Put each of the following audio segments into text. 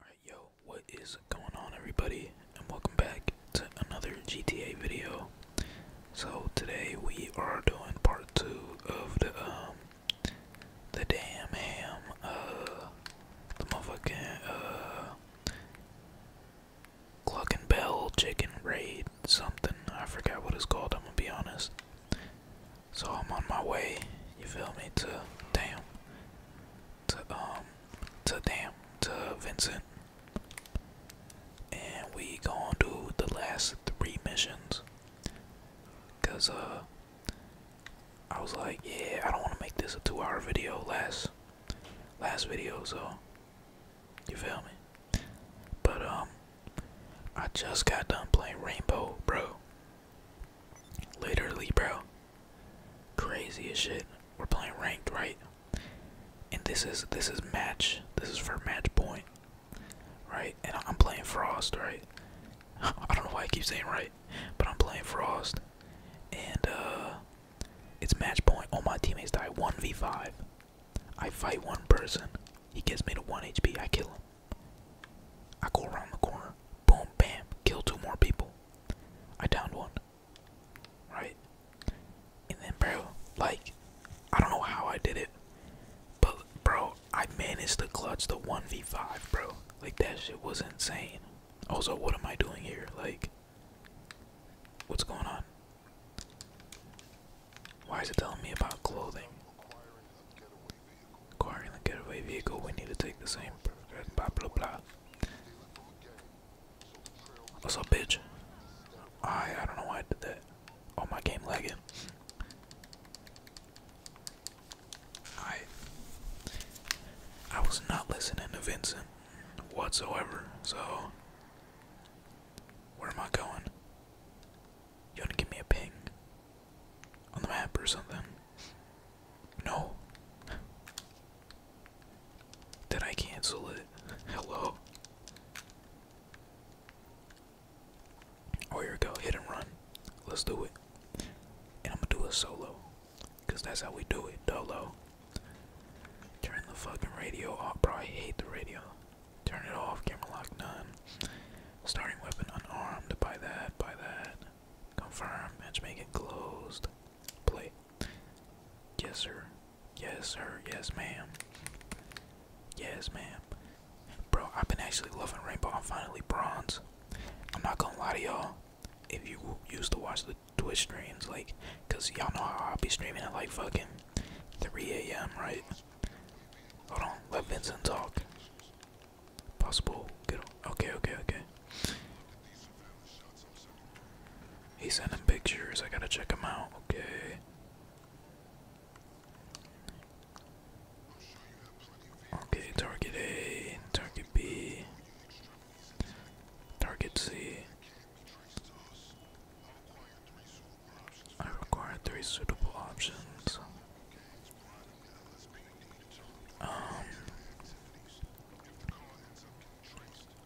Alright, yo, what is going on, everybody? And welcome back to another GTA video. So today we are doing part two of the um, the damn ham, uh, the motherfucking uh, cluck bell chicken raid something. I forget what it's called. I'm gonna be honest. So I'm on my way. You feel me? To damn to um to them to Vincent. And we go to do the last three missions. Cause uh I was like, yeah, I don't wanna make this a two hour video last last video, so you feel me? But um I just got done playing Rainbow, bro. Literally, bro. Crazy as shit. We're playing ranked, right? And this is this is match. This is for match point, right? And I'm playing Frost, right? I don't know why I keep saying right, but I'm playing Frost, and uh, it's match point. All my teammates die. One v five. I fight one person. He gets me to one HP. I kill him. I go around the corner boom, bam, kill two more people. I downed one. Right? And then, bro, like, I don't know how I did it, but, bro, I managed to clutch the 1v5, bro. Like, that shit was insane. Also, what am I doing here? Like, what's going on? Why is it telling me about clothing? Acquiring the getaway vehicle, we need to take the same. Blah, blah, blah. What's up, bitch? I I don't know why I did that. Oh my game lagging. I I was not listening to Vincent whatsoever, so where am I going? You wanna give me a ping on the map or something? No. Did I cancel it? Hello. Oh, here we go. Hit and run. Let's do it. And I'm gonna do it solo. Cause that's how we do it. Dolo. Turn the fucking radio off. Bro, I hate the radio. Turn it off. Camera lock none. Starting weapon unarmed. Buy that. Buy that. Confirm. Matchmaking closed. Play. Yes, sir. Yes, sir. Yes, ma'am. Yes, ma'am. Bro, I've been actually loving Rainbow. I'm finally bronze. I'm not gonna lie to y'all. If you used to watch the Twitch streams, like, cause y'all know how I'll be streaming at like fucking 3 a.m., right? Hold on, let Vincent talk. Possible. Good. Okay, okay, okay. He's sending pictures. I gotta check him out. Okay. Okay, target A, target B, target C. I require three suitable options. Um,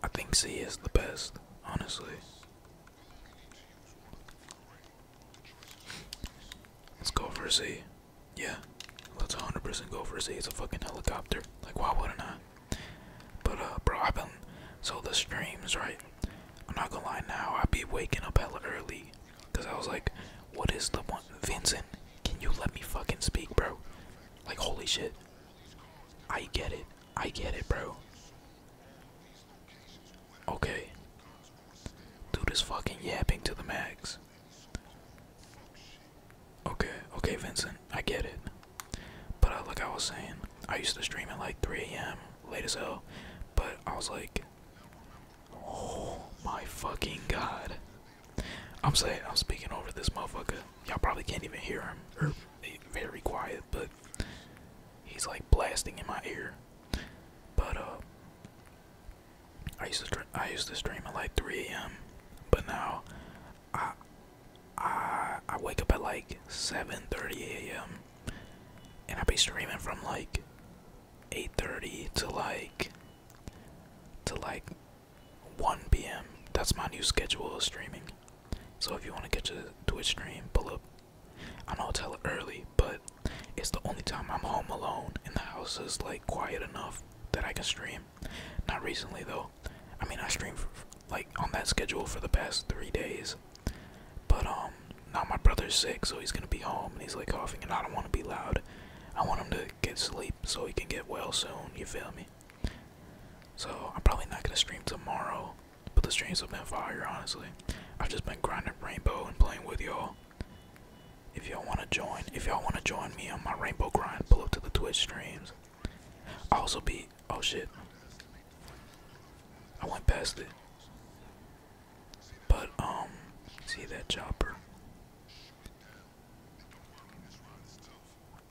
I think C is the best, honestly. Let's go for C. Yeah, let's 100% go for C. It's a fucking helicopter. Like, why wouldn't I? But, uh, bro, I've been. So, the streams, right? I'm not gonna lie now, I'd be waking up hella early. Because I was like, what is the one? Vincent, can you let me fucking speak, bro? Like, holy shit. I get it. I get it, bro. Okay. Dude is fucking yapping to the max. Okay, okay, Vincent. I get it. But uh, like I was saying, I used to stream at like 3 a.m. late as hell. But I was like, oh my fucking god. I'm saying I'm speaking over this motherfucker. Y'all probably can't even hear him. Eh, very quiet, but he's like blasting in my ear. But uh, I used to I used to stream at like 3 a.m. But now I I I wake up at like 7:30 a.m. and I be streaming from like 8:30 to like to like 1 p.m. That's my new schedule of streaming. So if you want to catch a Twitch stream, pull up. I know it's hella early, but it's the only time I'm home alone and the house is like quiet enough that I can stream. Not recently though. I mean, I stream like on that schedule for the past three days. But um, now my brother's sick, so he's gonna be home and he's like coughing, and I don't want to be loud. I want him to get sleep so he can get well soon, you feel me? So I'm probably not gonna stream tomorrow, but the streams have been fire, honestly. I've just been grinding rainbow and playing with y'all. If y'all wanna join, if y'all wanna join me on my rainbow grind, pull up to the Twitch streams. i also be oh shit. I went past it. But um see that chopper.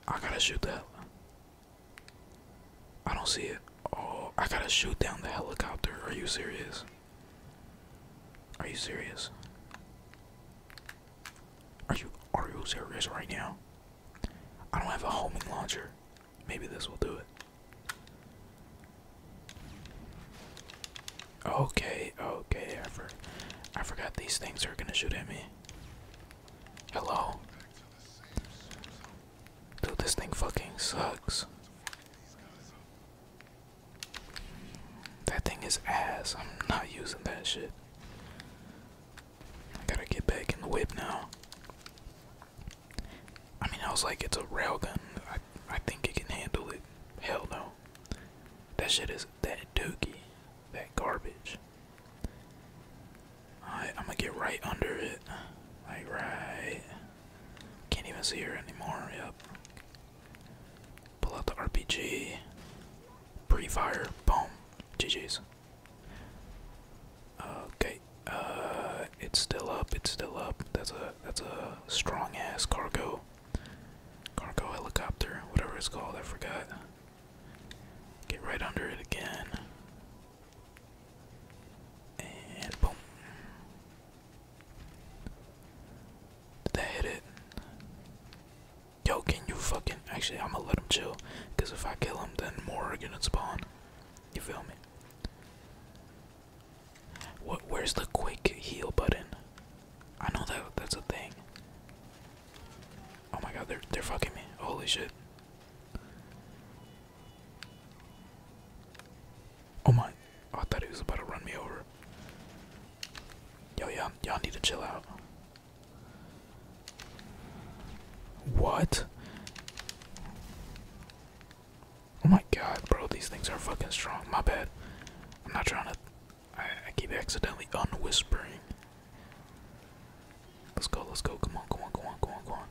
I gotta shoot that. I don't see it. Oh, I gotta shoot down the helicopter. Are you serious? Are you serious? Are you are you serious right now? I don't have a homing launcher. Maybe this will do it. Okay, okay, I forgot these things are gonna shoot at me. Hello? Dude, this thing fucking sucks. That thing is ass. I'm not using that shit. I gotta get back in the whip now. I mean, I was like, it's a railgun. I, I think it can handle it. Hell no. That shit is that dookie that garbage. I'm gonna get right under it. Like, right. Can't even see her anymore. Yep. Pull out the RPG. Pre fire. Boom. GG's. Okay. Uh, it's still up. It's still up. That's a that's a strong ass cargo, cargo helicopter, whatever it's called. I forgot. Get right under it again. And boom. Did that hit it? Yo, can you fucking. Actually, I'm gonna let him chill. Because if I kill him, then more are gonna spawn. You feel me? What? Where's the quick heal button? I know that that's a thing. Oh my god, they're they're fucking me. Holy shit. Oh my oh, I thought he was about to run me over. Yo y'all y'all need to chill out. What? Oh my god, bro, these things are fucking strong. My bad. I'm not trying to I, keep accidentally unwhispering. Let's go, let's go. Come on, come on, come on, come on, come on.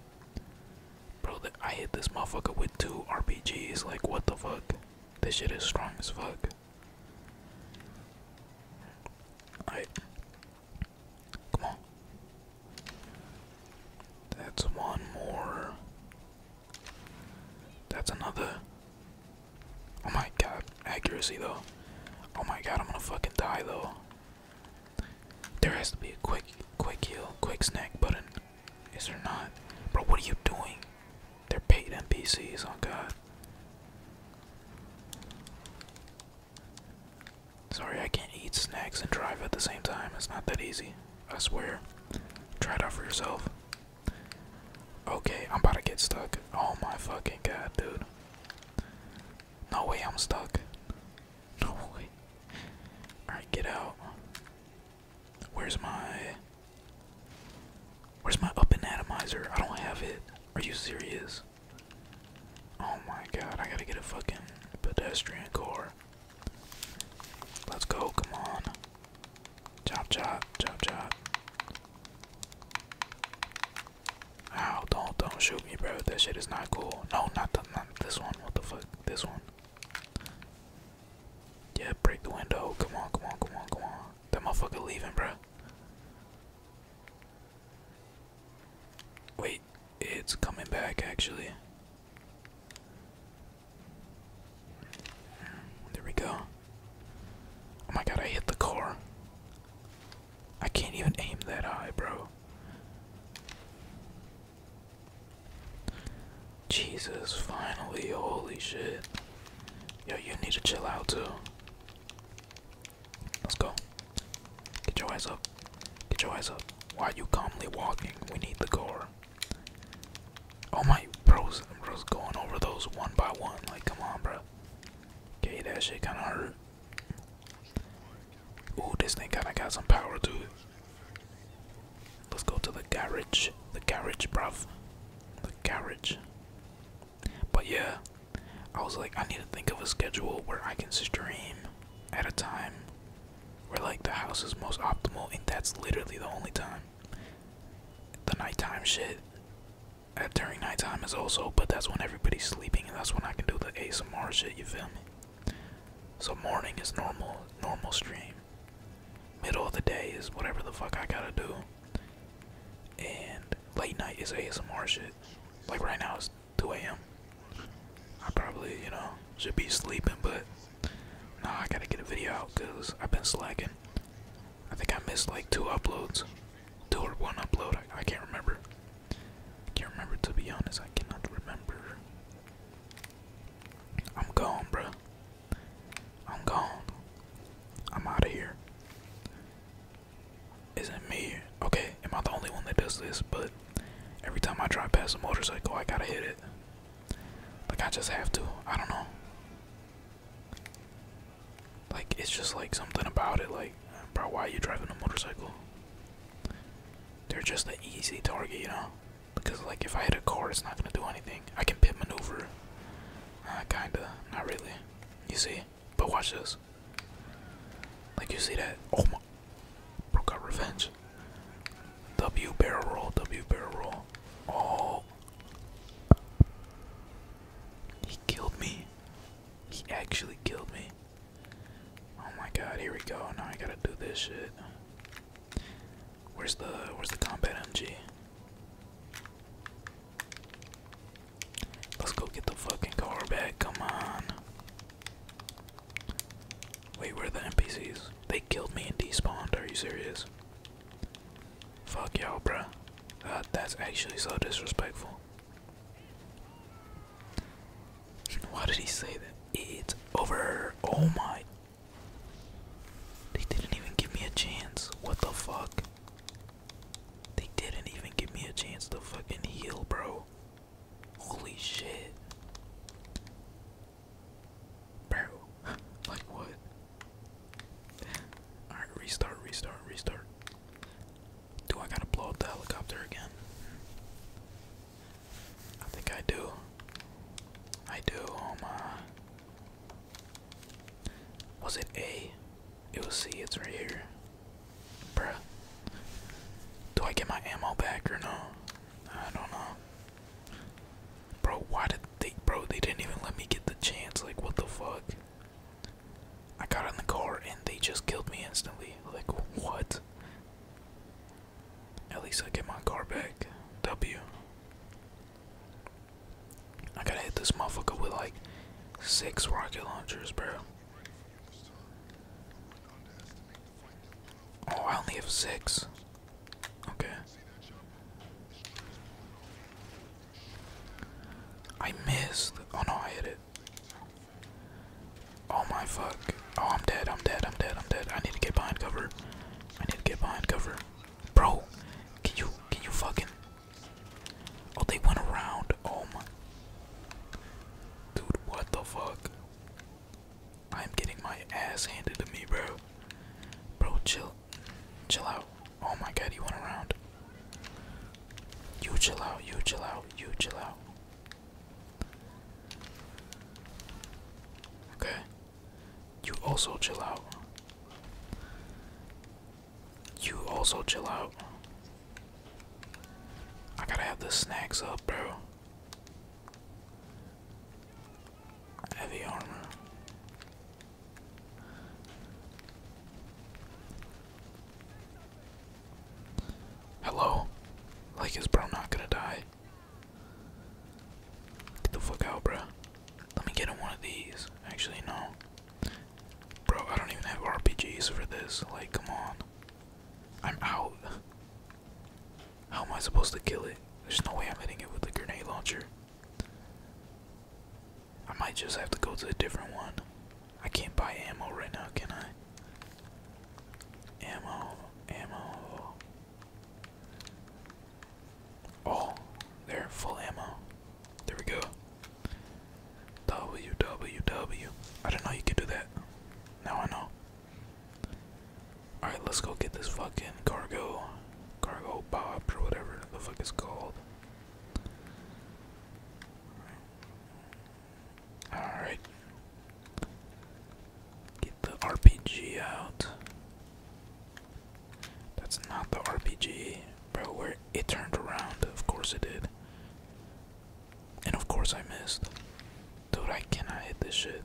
Bro, that I hit this motherfucker with two RPGs. Like, what the fuck? This shit is strong as fuck. Come on. That's one more. That's another. Oh my god, accuracy though. Oh my god, I'm gonna fucking die though. There has to be a quick, quick heal, quick snack button. Is there not? Bro, what are you doing? They're paid NPCs, on oh god. Sorry, I can't eat snacks and drive at the same time. It's not that easy. I swear. Try it out for yourself. Okay, I'm about to get stuck. Oh my fucking god, dude. No way, I'm stuck. No way. Alright, get out. Where's my. Where's my up and atomizer? I don't have it. Are you serious? Oh my god, I gotta get a fucking pedestrian car. Let's go, come on. Chop, chop, chop, chop. Ow, don't don't shoot me, bro. That shit is not cool. No, not the not this one. What the fuck? This one. Yeah, break the window. Come on, come on, come on, come on. That motherfucker leaving, bro. Wait, it's coming back actually. Hmm, there we go. Oh my god, I hit the car. I can't even aim that high, bro. Jesus, finally, holy shit. Yo, you need to chill out too. Let's go. Get your eyes up. Get your eyes up. Why are you calmly walking? We need the car. Oh my, bro's, bro's going over those one by one. Like, come on, bro. Okay, that shit kinda hurt. Ooh, this thing kinda got some power to it. Let's go to the garage. The garage, bruv. The garage. But yeah, I was like, I need to think of a schedule where I can stream at a time where like the house is most optimal, and that's literally the only time. The nighttime shit at during nighttime is also, but that's when everybody's sleeping, and that's when I can do the ASMR shit. You feel me? So morning is normal, normal stream. Middle of the day is whatever the fuck I gotta do, and late night is ASMR shit. Like right now it's 2 a.m. I probably you know should be sleeping, but nah, I gotta get a video out because I've been slacking. I think I missed like two uploads, two or one upload. I, I can't remember. I can't remember to be honest. I cannot remember. I'm gone, bro. I'm gone. I'm out of here. Isn't me? Okay, am I the only one that does this? But every time I drive past a motorcycle, I gotta hit it. Like I just have to. I don't know. Like it's just like something about it. Like, bro, why are you driving a motorcycle? They're just an easy target, you know. Because like if I hit a car, it's not gonna do anything. I can pit maneuver. Uh, kinda, not really. You see? But watch this. Like you see that? Oh my! Bro, got revenge. W barrel roll. W barrel roll. Oh. He killed me. He actually killed me. Oh my god, here we go. Now I gotta do this shit. Where's the where's the combat MG? Let's go get the fucking car back, come on. Wait, where are the NPCs? They killed me and despawned, are you serious? Fuck y'all, bruh. Uh, that's actually so disrespectful. Why did he say that? It's over. Oh my. They didn't even give me a chance. What the fuck? They didn't even give me a chance to fucking heal, bro. Holy shit. Bro. like what? Alright, restart, restart, restart. Do I gotta blow up the helicopter again? I think I do. I do. Oh my. Was it A? It was C. It's right here. bro. Do I get my ammo back or no? I don't know. Bro, why did they. Bro, they didn't even let me get the chance. Like, what the fuck? I got in the car and they just killed me instantly. Like, what? At least I get my car back. W. I gotta hit this motherfucker with like six rocket launchers, bro. Oh, I only have six. Okay. I missed. Oh no, I hit it. Oh my fuck. Oh, I'm dead. I'm dead. I'm dead. I'm dead. I need to get behind cover. I need to get behind cover. Bro, can you can you fucking Oh, they went around. Oh my. Dude, what the fuck? I'm getting my ass handed to me, bro. Bro, chill. Chill out. Oh my god, You went around. You chill out, you chill out, you chill out. Okay. You also chill out. You also chill out. I gotta have the snacks up, bro. Heavy armor. Hello? Like, is bro not gonna die? Get the fuck out, bro. Let me get in one of these. Actually, no. Bro, I don't even have RPGs for this. Like, come on. I'm out. How am I supposed to kill it? There's no way I'm hitting it with a grenade launcher. I might just have to go to a different one. I can't buy ammo right now, can I? Ammo, ammo. Oh, they're full ammo. There we go. WWW. I didn't know you could do that. Now I know. Alright, let's go get this fucking cargo. Cargo bob or whatever the fuck it's called. Alright. Get the RPG out. That's not the RPG. Bro, where it turned around. Of course it did. And of course I missed. Dude, I cannot hit this shit.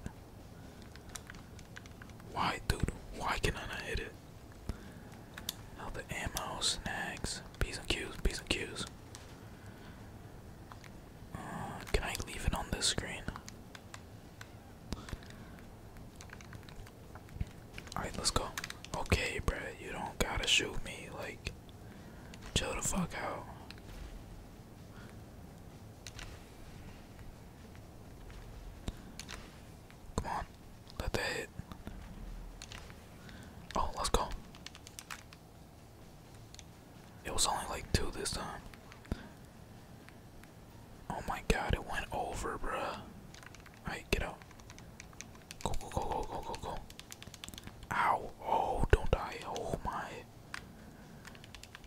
Why, dude? Why can I hit it? All the ammo, snags. P's and Q's, P's and Q's. Uh, can I leave it on this screen? Alright, let's go. Okay, bruh, you don't gotta shoot me. Like, chill the fuck out. Come on. Let that hit. Oh, let's go. It was only like two this time. Oh my god, it went over, bruh. Alright, get out. Go, go, go, go, go, go, go. Ow. Oh, don't die. Oh my.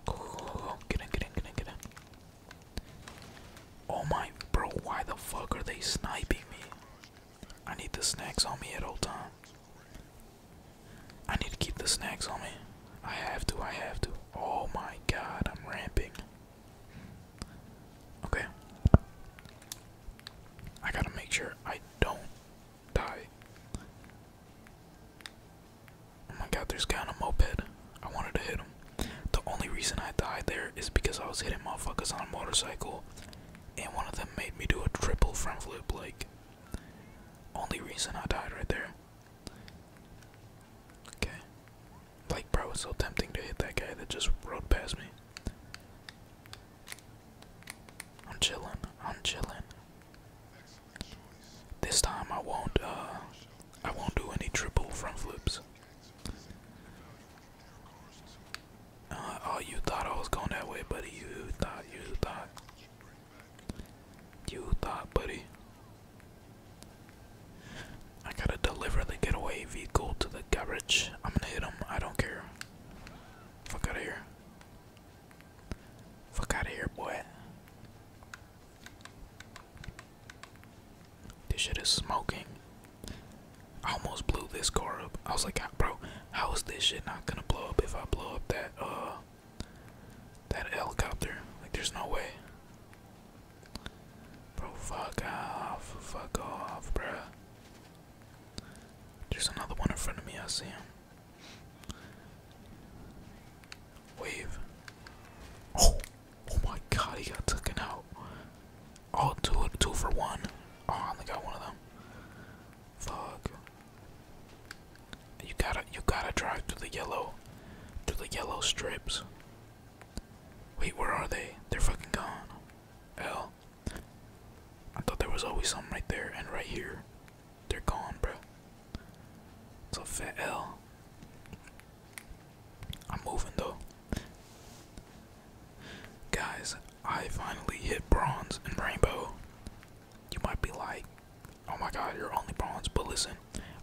go, go, go, go. Get in, get in, get in, get in. Oh my, bro, why the fuck are they sniping me? I need the snacks on me at all times. I need to keep the snacks on me. I have to, I have to. Oh my god, I'm ramping. Okay. I gotta make sure I don't die. Oh my god, there's a guy on a moped. I wanted to hit him. The only reason I died there is because I was hitting motherfuckers on a motorcycle and one of them made me do a triple front flip. Like, only reason I died right there. Okay. Like, bro, it's so tempting to hit that guy that just rode past me. I'm chilling. I'm chilling. This time I won't. Uh, I won't do any triple front flips. Uh, oh, you thought I was going that way, buddy. You thought, you thought. You thought, buddy. I gotta deliver the getaway vehicle to the garage. I'm gonna hit him. I don't care. Fuck out of here. Fuck out of here, boy. This shit is smoking. I almost blew this car up. I was like, bro, how is this shit not gonna blow up if I blow up that uh that helicopter? Like, there's no way. Bro, fuck off, fuck off, bro. There's another one in front of me. I see him. Wave. Oh, oh my God, he got taken out. Oh, two, two for one. Oh, I only got one of them. Fuck. You gotta, you gotta drive through the yellow, through the yellow strips. Wait, where are they? They're fucking gone. Hell. I thought there was always something right there and right here. They're gone, bro. It's a fat L. I'm moving though. Guys, I finally hit bronze and rainbow. You might be like, oh my god, you're only bronze, but listen,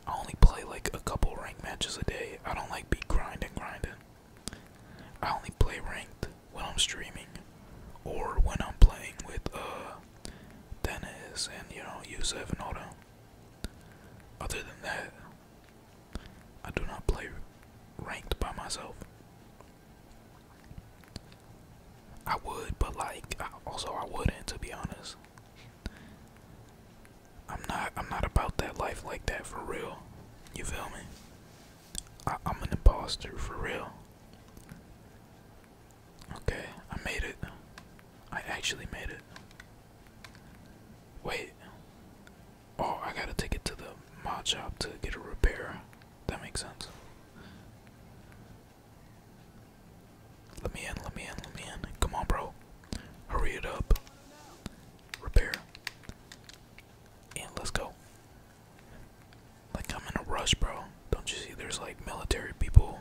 I only play like a couple ranked matches a day. I don't like be grinding, grinding. I only play ranked when I'm streaming or when I'm playing with uh Dennis and you know Yusef and all that. Other than that, I do not play ranked by myself. I would, but like I, also I wouldn't to be honest. I'm not I'm not about that life like that for real. You feel me? I, I'm an imposter for real. Okay, I made it. I actually made it. Wait. Oh, I gotta take it to the mod shop to get a repair. That makes sense. Let me in, let me in, let me in. Come on, bro. Hurry it up. Repair. And let's go. Like, I'm in a rush, bro. Don't you see there's like military people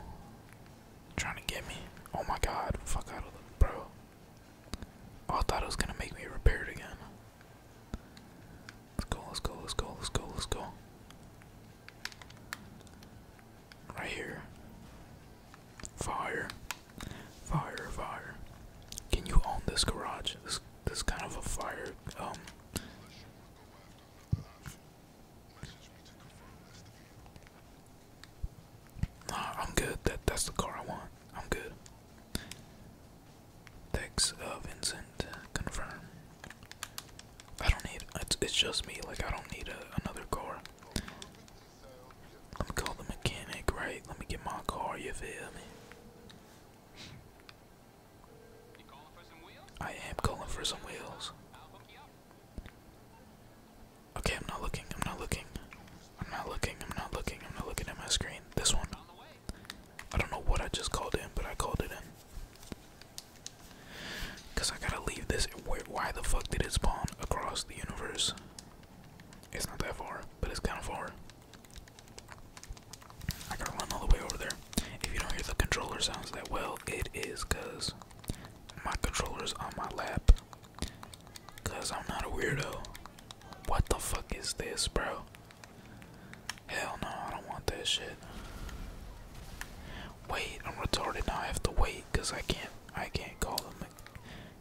trying to get me? Oh my god, fuck out of them, bro. Oh, I thought it was gonna make me repair it again. Let's go, let's go, let's go, let's go, let's go. Right here. Fire. Fire, fire. Can you own this garage? This this kind of a fire um Nah, I'm good. That that's the car I want. I'm good. Text uh, Vincent confirm. I don't need. It's, it's just me. Like I don't need another car. Let me call the mechanic, right? Let me get my car. You feel me? I am calling for some wheels. Okay, I'm not looking. I'm not looking. I'm not looking. I'm not looking. I'm not looking at my screen. This one. I don't know what I just called in, but I called it in. Cause I gotta leave this. Wait, why the fuck did it spawn across the universe? It's not that far, but it's kind of far. I gotta run all the way over there. If you don't hear the controller sounds that well, it is cause my controller's on my lap. Cause I'm not a weirdo. What the fuck is this, bro? Hell no, I don't want that shit. Wait, I'm retarded now. I have to wait because I can't. I can't call him.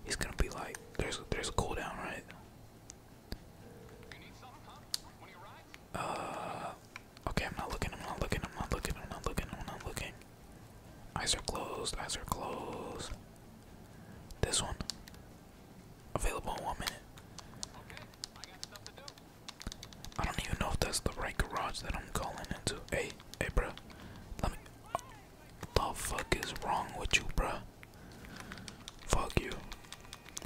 He's gonna be like, "There's a, there's a cooldown, right?" Uh, okay. I'm not looking. I'm not looking. I'm not looking. I'm not looking. I'm not looking. Eyes are closed. Eyes are closed. This one. Available in one minute. I, do. not even know if that's the right garage that I'm calling into. Hey, hey, bro. Let me. The fuck is wrong with you, bro? Fuck you.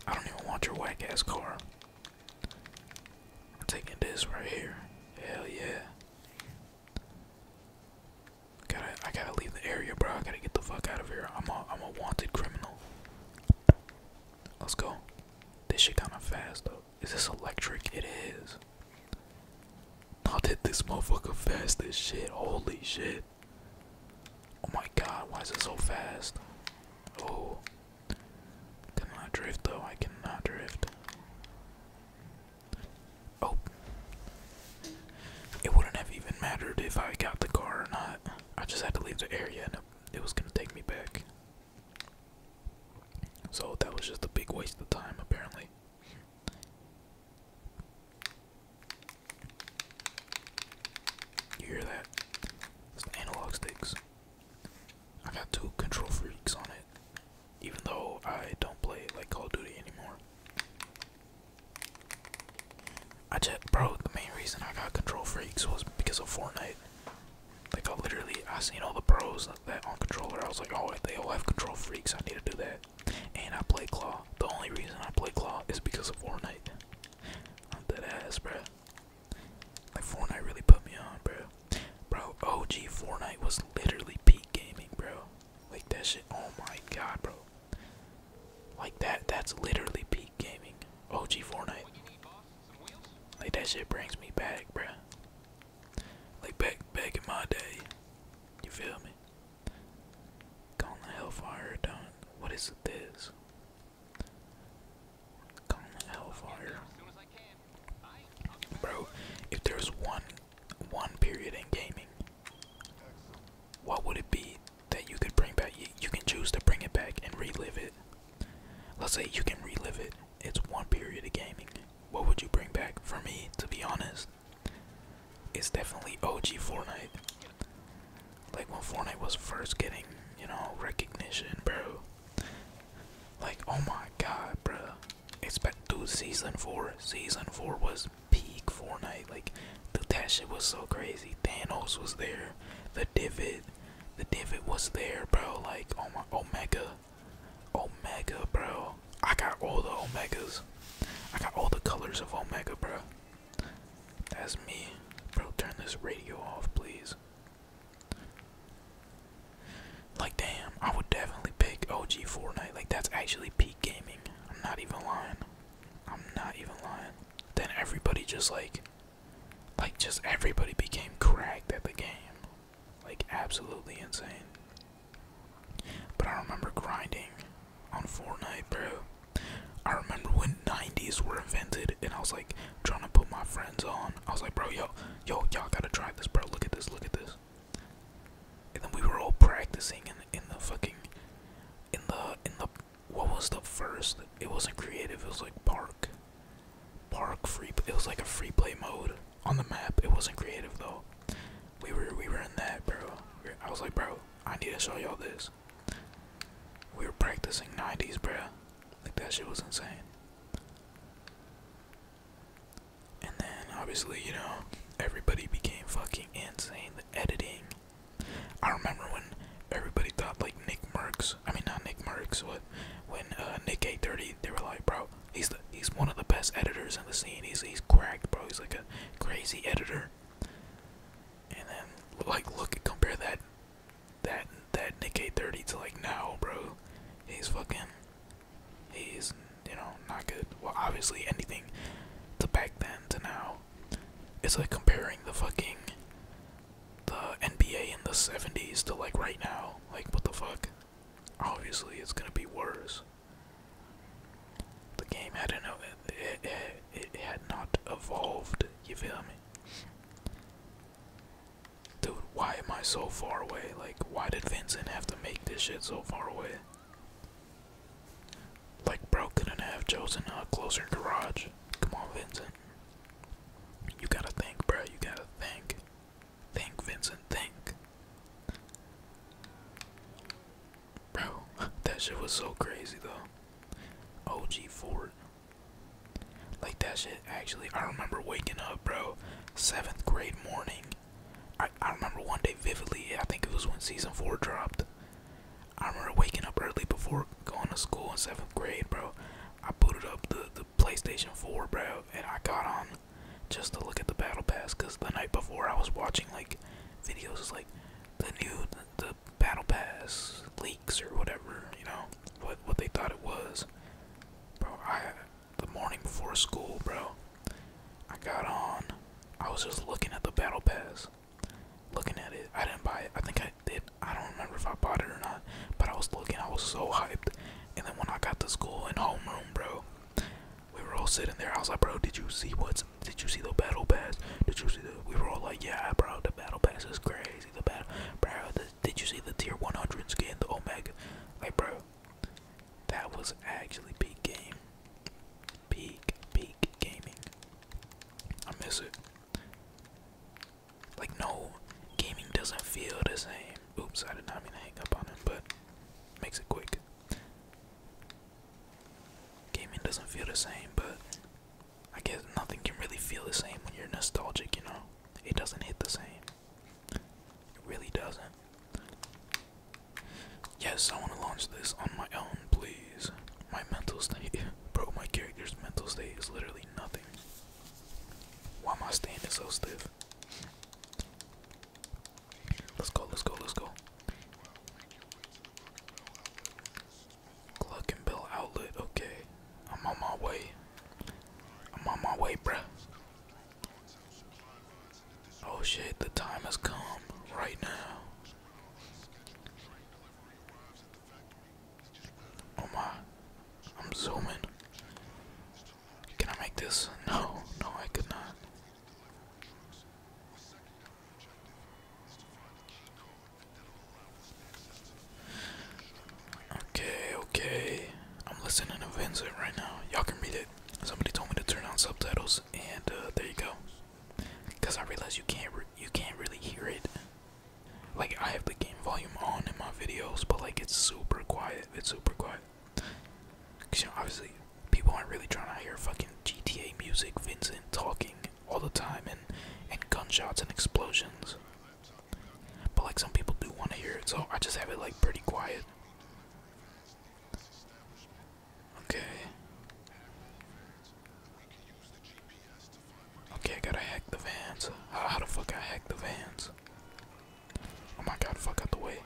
I don't even want your whack ass car. I'm taking this right here. Hell yeah. Gotta, I gotta leave the area, bro. I gotta get the fuck out of here. I'm a, I'm a wanted criminal. Let's go. This shit kinda fast though. Is this electric? It is. How did this motherfucker fast this shit? Holy shit. Oh my god, why is it so fast? Oh. Cannot drift though, I cannot drift. Oh. It wouldn't have even mattered if I got the car or not. I just had to leave the area and it, was gonna take me back. So that was just a big waste of time, apparently. You hear that? analog sticks. I got two control freaks on it, even though I don't play like Call of Duty anymore. I just, bro, the main reason I got Control Freaks was because of Fortnite. Like, I literally, I seen all the pros that on controller. I was like, oh, they all have Control Freaks. I need to do that. And I play Claw. The only reason I play Claw is because of Fortnite. I'm dead ass, bro. Like, Fortnite really put me on, bro. Bro, OG Fortnite was literally peak gaming, bro. Like, that shit, oh my god, bro. Like that, that's literally peak gaming. OG Fortnite. Like that shit brings me back, bruh. Like back back in my day. You feel me? Calling the Hellfire done. What is this? Calling the Hellfire. Bro, if there's one one period in gaming, what would it be? that you could bring back. You, can choose to bring it back and relive it. Let's say you can relive it. It's one period of gaming. What would you bring back? For me, to be honest, it's definitely OG Fortnite. Like when Fortnite was first getting, you know, recognition, bro. Like, oh my god, bro. It's back, dude, season 4. Season 4 was peak Fortnite. Like, that shit was so crazy. Thanos was there. The Divid, the Divid was there, bro. Like, oh my, Omega, Omega, bro. I got all the Omegas. I got all the colors of Omega, bro. That's me, bro. Turn this radio off, please. Like, damn, I would definitely pick OG Fortnite. Like, that's actually peak gaming. I'm not even lying. I'm not even lying then everybody just like like just everybody became cracked at the game. Like absolutely insane. But I remember grinding on Fortnite, bro. I remember when 90s were invented and I was like trying to put my friends on. I was like, bro, yo, yo, y'all gotta try this, bro. Look at this, look at this. And then we were all practicing in the fucking in the in the what was the first? It wasn't creative. It was like park, park free. It was like a free play mode on the map. It wasn't creative though. We were we were in that, bro. I was like, bro, I need to show y'all this. We were practicing 90s, bro. Like that shit was insane. And then obviously, you know, everybody became fucking insane. The editing, I remember when everybody thought like Nick Merckx, I mean not Nick Merckx, but when uh, Nick eight thirty, they were like, bro, he's he's one of the best editors in the scene. He's he's cracked, bro. He's like a crazy editor. And then like look compare that that that Nick eight thirty to like now, bro. He's fucking he's you know not good. Well, obviously anything to back then to now. It's like comparing the fucking the NBA in the 70s to like right now. Like, what the fuck? Obviously, it's gonna be worse. The game hadn't it, it, it had not evolved. You feel me? Dude, why am I so far away? Like, why did Vincent have to make this shit so far away? Like, bro couldn't have chosen a closer garage. Come on, Vincent. You gotta think, bro. You gotta think. Think, Vincent. Think. Bro, that shit was so crazy though. OG Ford. Like that shit actually I remember waking up, bro. Seventh grade morning. I, I remember one day vividly, I think it was when season four dropped. I remember waking up early before going to school in seventh grade, bro. I booted up the, the PlayStation 4, bro, and I got on just to look at the battle pass because the night before I was watching like videos like the new the, battle pass leaks or whatever, you know, what what they thought it was. Bro, I the morning before school, bro, I got on. I was just looking at the battle pass looking at it. I didn't buy it. I think I did. I don't remember if I bought it or not, but I was looking. I was so hyped. And then when I got to school in homeroom, bro, we were all sitting there. I was like, bro, did you see what's? Did you see the battle pass? Did you see the? We were all like, yeah, bro, the battle pass is crazy. The battle, bro. did you see the tier 100 skin, the Omega? Like, bro, that was actually peak game. Peak, peak gaming. I miss it. Like no gaming doesn't feel the same. Oops, I did not mean to hang up on him, but makes it quick. Gaming doesn't feel the same, but I guess nothing can really feel the same when you're nostalgic, you know? It doesn't hit the same. It really doesn't. Yes, I want to launch this on my own, please. My mental state, bro. My character's mental state is literally nothing. Why am I standing so stiff? Let's go. Let's go. Let's go. Cluck and Bell Outlet. Okay, I'm on my way. I'm on my way, bro. Oh shit, the time has come right now. Oh my, I'm zooming. Can I make this? No, no, I could not. Okay, okay. I'm listening to Vincent right now. Y'all can read it. Somebody told me to turn on subtitles, and uh, there you go. Cause I realize you can't, you can't really hear it like I have the game volume on in my videos, but like it's super quiet. It's super quiet. obviously people aren't really trying to hear fucking GTA music, Vincent talking all the time, and and gunshots and explosions. But like some people do want to hear it, so I just have it like pretty quiet. Okay. Okay, gotta hack the vans. How, the fuck I hack the vans? Oh my god, fuck out the way.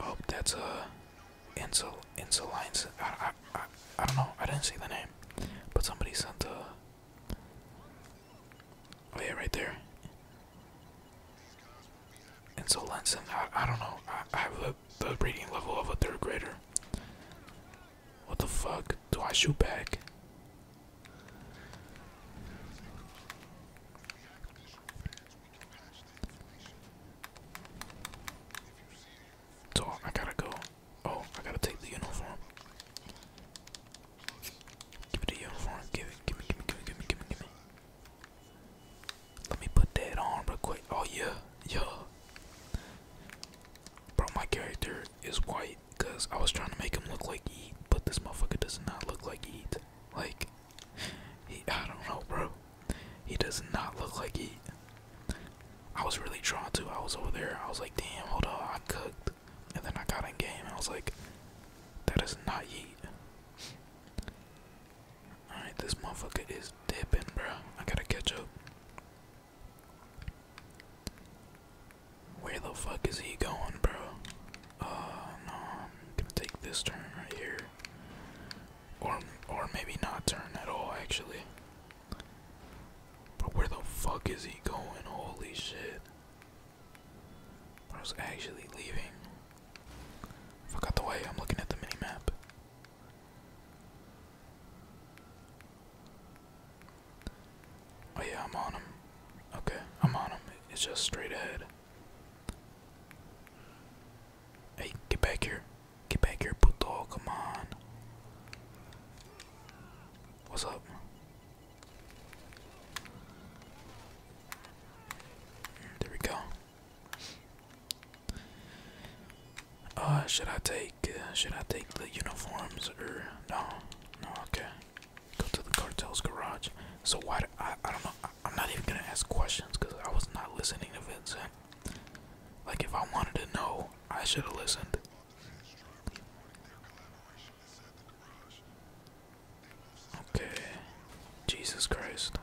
Oh, that's uh, Insul Insulines. I, I, I, I don't know. I didn't see the name, but somebody sent a. Uh, oh yeah, right there. Insulinson. I, I don't know. I, I have the, the reading level of a third grader. What the fuck? Do I shoot back? So I gotta go. Oh, I gotta take the uniform. Give me the uniform. Give it. Give me. Give me. Give me. Give me. Give me. Give me. Let me put that on real quick. Oh yeah, yeah. Bro, my character is white because I was trying to make him look like Eat, but this motherfucker does not look like Eat. Like, he, I don't know, bro. He does not look like Eat. I was really drawn to. I was over there. I was like, damn, hold on, I cooked. And then I got in game. I was like, that is not Yeet. Alright, this motherfucker is dipping, bro. I gotta catch up. Where the fuck is he going, bro? Uh, no, I'm gonna take this turn right here. Or, or maybe not turn at all, actually. But where the fuck is he going? Holy shit. I was actually leaving. Forgot the way, I'm looking at the mini map. Oh yeah, I'm on him. Okay, I'm on him. It's just straight ahead. Hey, get back here. Get back here, puto. Come on. What's up? There we go. Uh, should I take, uh, should I take the uniforms or no? No, okay. Go to the cartel's garage. So why? Do, I I don't know. I, I'm not even gonna ask questions because I was not listening to Vincent. Like if I wanted to know, I should have listened. Okay. Jesus Christ.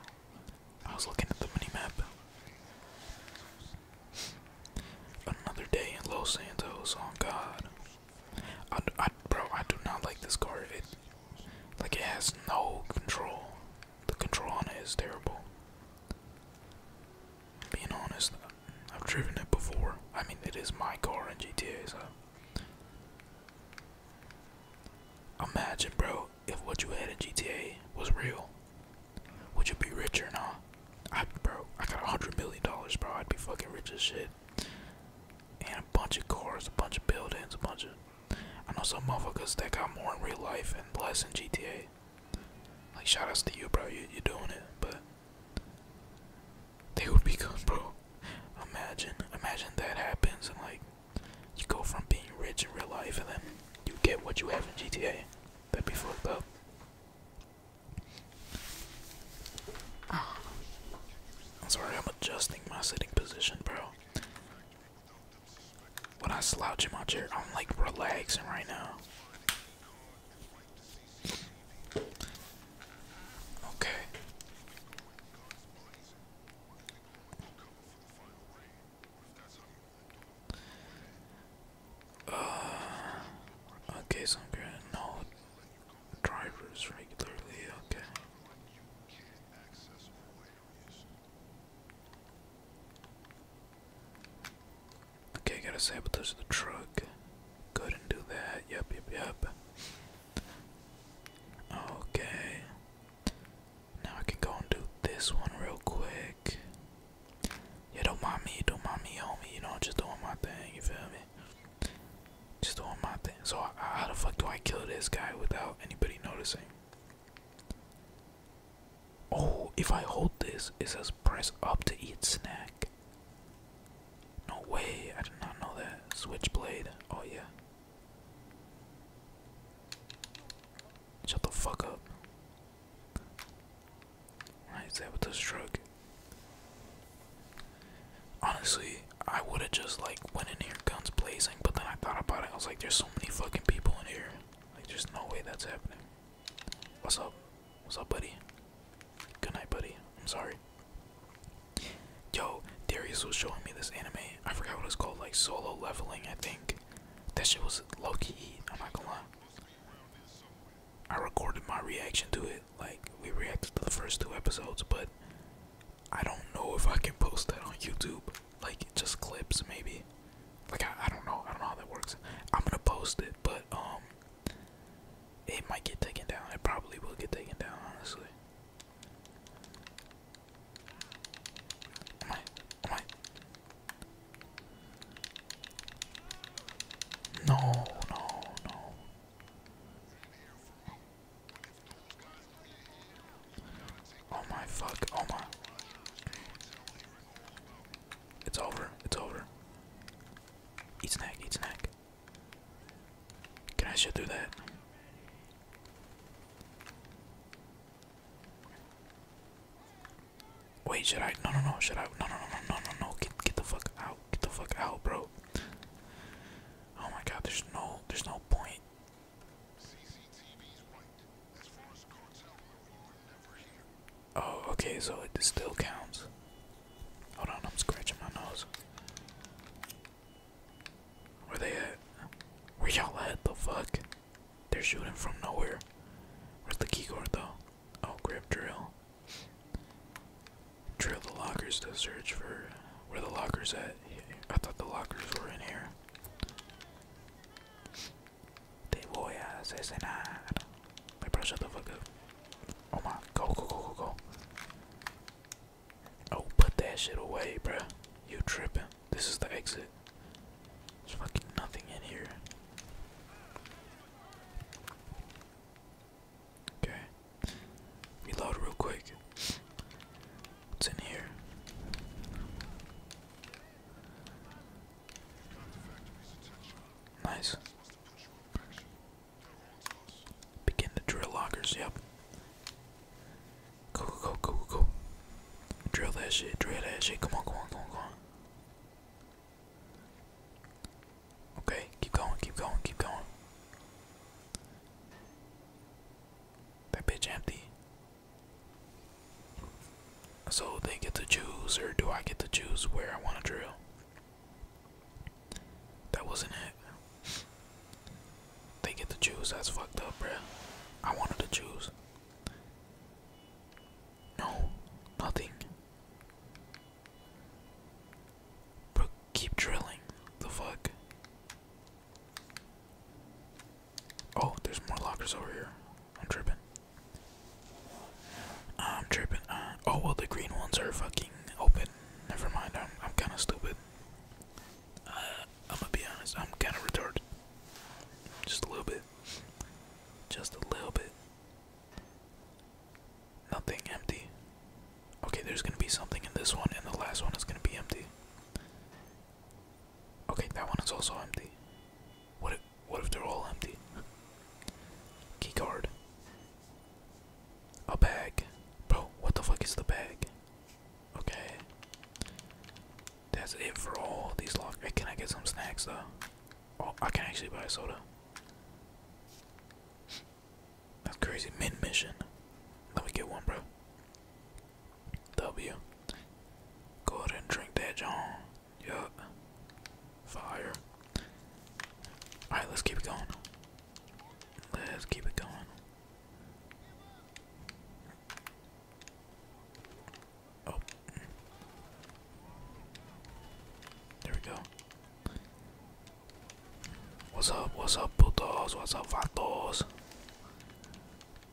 I was looking at the mini map. Another day in Los Santos. on oh God, bro, I do not like this car. It, like, it has no control. The control on it is terrible. Being honest, I've driven it before. I mean, it is my car in GTA, so. Imagine, bro, if what you had in GTA was real. Would you be rich or not? bro, I got a hundred million dollars, bro. I'd be fucking rich as shit. And a bunch of cars, a bunch of buildings, a bunch of. I know some motherfuckers that got more in real life and less in GTA. Like, shout outs to you, bro. You, you're doing it, but. They would be good, bro. Imagine, imagine that happens and, like, you go from being rich in real life and then you get what you have in GTA. That'd be fucked up. I'm sorry, I'm adjusting my sitting position, bro. When I slouch in my chair, I'm like relaxing right now. Okay. Uh, okay, so I'm gonna know drivers regularly, okay. Okay, gotta sabotage the truck. Go ahead and do that. Yep, yep, yep. Okay. Now I can go and do this one real quick. Yeah, don't mind me, don't mind me, homie. You know, I'm just doing my thing. You feel me? Just doing my thing. So how the fuck do I kill this guy without anybody noticing? Oh, if I hold this, it says press up to eat snack. No way, I did not know that. Switchblade. Oh yeah. Shut the fuck up. Nice able to stroke. Honestly, I would have just like went in here guns blazing, but then I thought about it. I was like, there's so many fucking people in here. Like, there's no way that's happening. What's up? What's up, buddy? Good night, buddy. I'm sorry. Yo, Darius was showing me this anime. I forgot what it's called, like solo leveling, I think. That shit was low key. I'm not gonna lie. I recorded my reaction to it. Like we reacted to the first two episodes, but I don't know if I can post that on YouTube. Like just clips, maybe. Like I, I don't know. I don't know how that works. I'm gonna post it, but um, it might get taken down. It probably will get taken down, honestly. No, no, no. Oh my fuck, oh my. It's over, it's over. Eat snack, eat snack. Can I shoot through that? Wait, should I? No, no, no. Should I? No, no, no, no, no, no, no. Get, get the fuck out. Get the fuck out, bro. Oh my God. There's no, there's no point. Oh, okay. So it still counts. Hold on. I'm scratching my nose. Where they at? Where y'all at? The fuck? They're shooting from nowhere. Where's the keyboard though? Oh, grip drill. Drill the lockers to search for where the lockers at. I thought the lockers were in here. Te voy a asesinar. My bro, shut the fuck up. Oh my, go, go, go, go, go. Oh, put that shit away, bruh. You tripping. This is the exit. There's fucking nothing in here. Okay. Reload real quick. What's in here? Nice. Begin the drill lockers, yep. Go, go, go, go, go. Drill that shit, drill that shit. Come on, come on, come on, come on. Okay, keep going, keep going, keep going. That bitch empty. So they get to choose, or do I get to choose where I want to drill? That wasn't it. They get to choose. That's fucked up, bruh. I wanted to choose. No, nothing. Bro, keep drilling. The fuck? Oh, there's more lockers over here. I'm tripping. I'm tripping. Uh, oh, well, the green ones are fucking open. Never mind. I'm, I'm kind of stupid. Uh, I'm gonna be honest. I'm kind of retarded. Just a little bit. Just a little bit. Nothing empty. Okay, there's gonna be something in this one, and the last one is gonna be empty. Okay, that one is also empty. What if, what if they're all empty? Key card. A bag. Bro, what the fuck is the bag? Okay. That's it for all these lock. can I get some snacks though? Oh, I can actually buy a soda. That's crazy. Min mission. Let me get one, bro. W. Go ahead and drink that, John. Yup. Fire. Alright, let's keep it going. Let's keep it going. Oh. There we go. What's up? What's up, putos? What's up, vatos?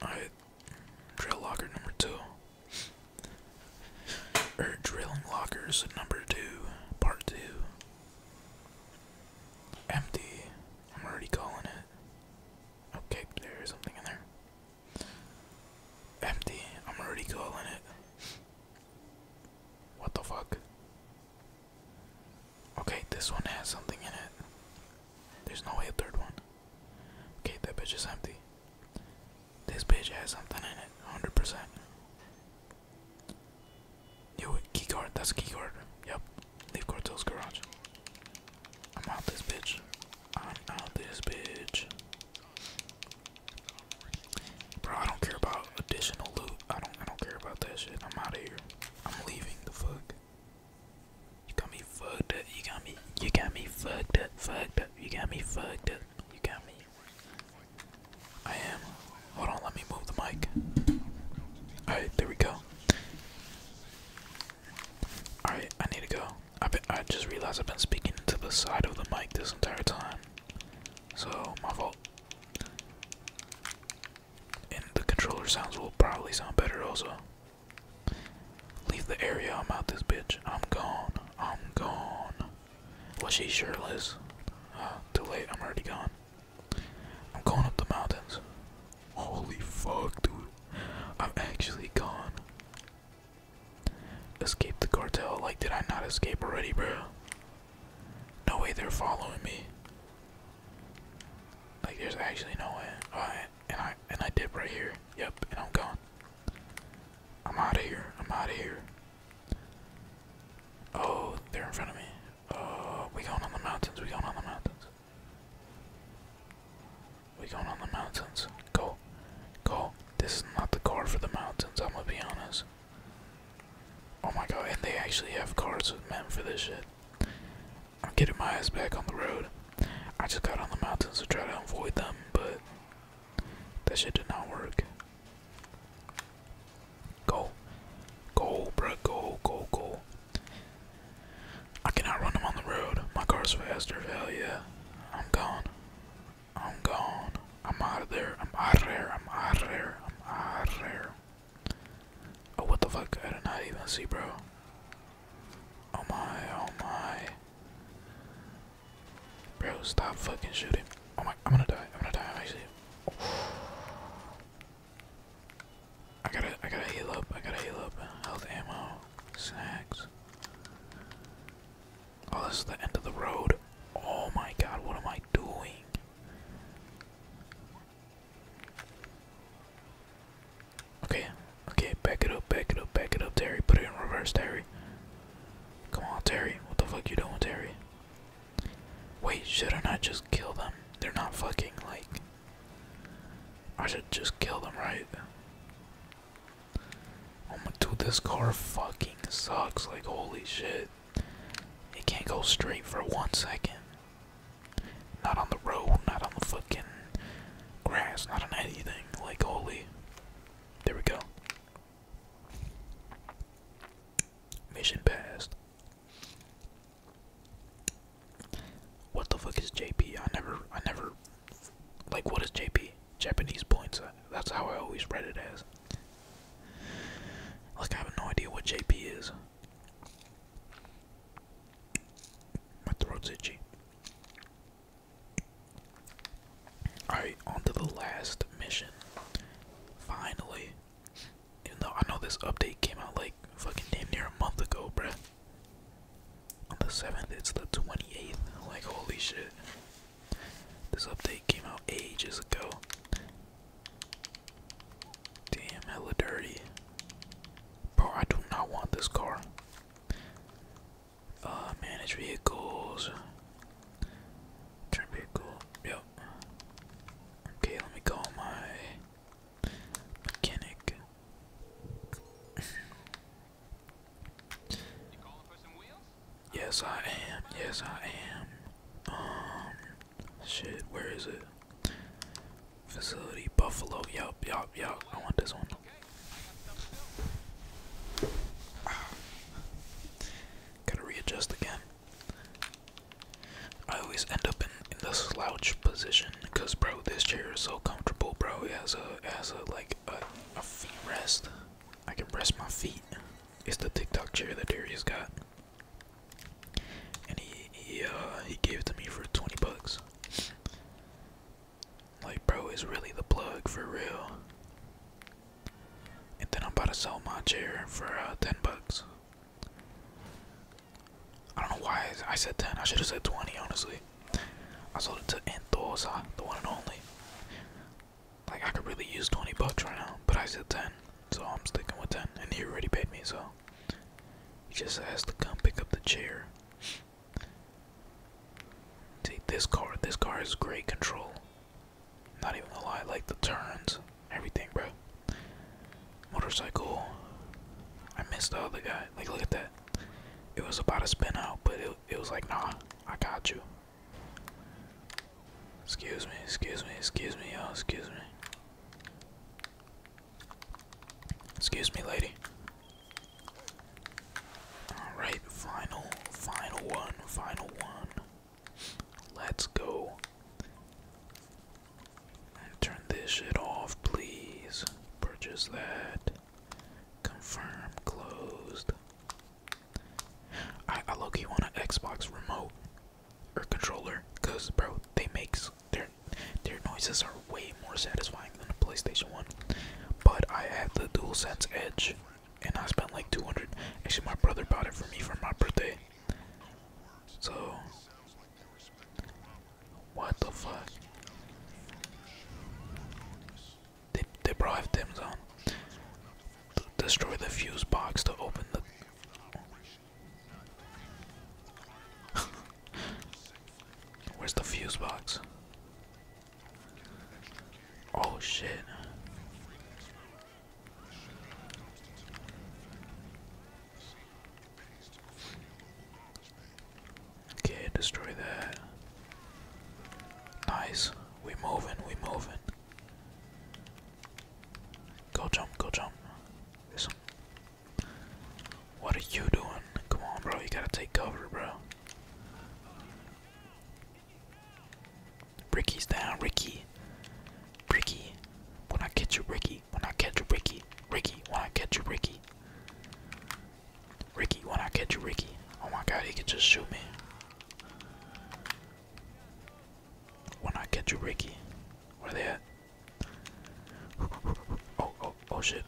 Alright, drill locker number two. or er, drilling lockers number two, part two. Empty. I'm already calling it. Okay, there is something in there. Empty. I'm already calling it. What the fuck? Okay, this one has something in it. There's no way a third one. Okay, that bitch is empty. This bitch has something in it, 100%. Yo, keycard, that's a keycard. Yep, leave Cortel's garage. I'm out this bitch. I'm out this bitch. Bro, I don't care about additional loot. I don't I don't care about that shit. I'm out of here. I'm leaving the fuck. You got me fucked up. You got me you got me fucked up, fucked up. You got me fucked up. You got me. I am. Hold on, let me move the mic. Alright, there we go. Alright, I need to go. I I just realized I've been speaking to the side of the mic this entire time. So, my fault. And the controller sounds will probably sound better also. Leave the area, I'm out this bitch. I'm gone. I'm gone. Well, she sure is. Uh, too late, I'm already gone. I'm going up the mountains. Holy fuck, dude. I'm actually gone. Escape the cartel. Like, did I not escape already, bro? No way they're following me. Like there's actually no way. and I and I dip right here. Yep, and I'm gone. I'm out of here. I'm out of here. Oh, they're in front of me. Oh, we going on the mountains. We going on the mountains. We going on the mountains. Go, go. This is not the car for the mountains. I'm gonna be honest. Oh my god, and they actually have cars with men for this shit. I'm getting my ass back on the road. I just got on the mountains to try to avoid them, but that shit did not work. Go. Go, bruh, go, go, go. I cannot run them on the road. My car's faster, hell yeah. I'm gone. I'm gone. I'm out of there. I'm out of there. I'm out of there. I'm out of there. Oh, what the fuck? I did not even see, bro. Oh my, oh my. Bro, stop fucking shooting. Oh my, I'm gonna die. I'm gonna die. I'm actually. Oh. I gotta, I gotta heal up. I gotta heal up. Health ammo, snacks. Oh, this is the end of the road. Oh my god, what am I doing? Okay, okay, back it up, back it up, back it up, Terry. Put it in reverse, Terry. Come on, Terry. What the fuck you doing, Terry? Wait, shouldn't I just kill them? They're not fucking like. I should just kill them, right? Oh my dude, this car fucking sucks. Like, holy shit it. can't go straight for one second. Not on the road, not on the fucking grass, not on anything. Like, holy. There we go. Mission passed. What the fuck is JP? I never, I never, like, what is JP? Japanese points. That's how I always read it as. Like, I have no idea what JP is. My throat's itchy. Alright, on to the last mission. Finally. Even though I know this update came out like fucking damn near a month ago, bruh. On the 7th, it's the 28th. Like, holy shit. This update came out ages ago. Damn, hella dirty. Bro, I do not want this car. Uh, manage vehicles. Turn vehicle. Yep. Okay, let me call my mechanic. Yes, I am. Yes, I am. Um, shit, where is it? Facility Buffalo. Yup, yup, yup. I want this one. Ah. Gotta readjust again. I always end up in, in the slouch position because, bro, this chair is so comfortable, bro. It has a, it a like a, a feet rest. I can rest my feet. It's the TikTok chair that Darius got, and he he uh, he gave it to me for twenty bucks. Like, bro, is really the plug for real. And then I'm about to sell my chair for uh, ten bucks. I don't know why I said ten. I should have said twenty, honestly. I sold it to Entosa, the one and only. Like I could really use 20 bucks right now, but I said 10, so I'm sticking with 10. And he already paid me, so he just has to come pick up the chair. See this car. This car has great control. Not even a to lie, like the turns, everything, bro. Motorcycle. I missed the other guy. Like, look at that. It was about to spin out, but it, it was like, nah, I got you. Excuse me, excuse me, excuse me, y'all, excuse me. Excuse me, lady. Alright, final, final one, final one. Let's go. turn this shit off, please. Purchase that. Confirm closed. I, I low-key want an Xbox remote or controller, cause bro, they makes their their noises are way more satisfying than a PlayStation One. But I have the DualSense Edge, and I spent like 200. Actually, my brother bought it for me for my birthday. So, what the fuck? They they bro have Tim's on destroy the fuse box to open the. Where's the fuse box? Oh shit. Okay, destroy that. Nice. We moving, we moving. Go jump, go jump. This What are you doing? Come on, bro. You gotta take cover, bro. Ricky's down, Ricky. Ricky. When I catch you, Ricky. When I catch you, Ricky. Ricky. When I catch you, Ricky. Ricky. When I catch you, Ricky. Oh my god, he can just shoot me. When I catch you, Ricky? Where they at? Oh, oh, oh shit.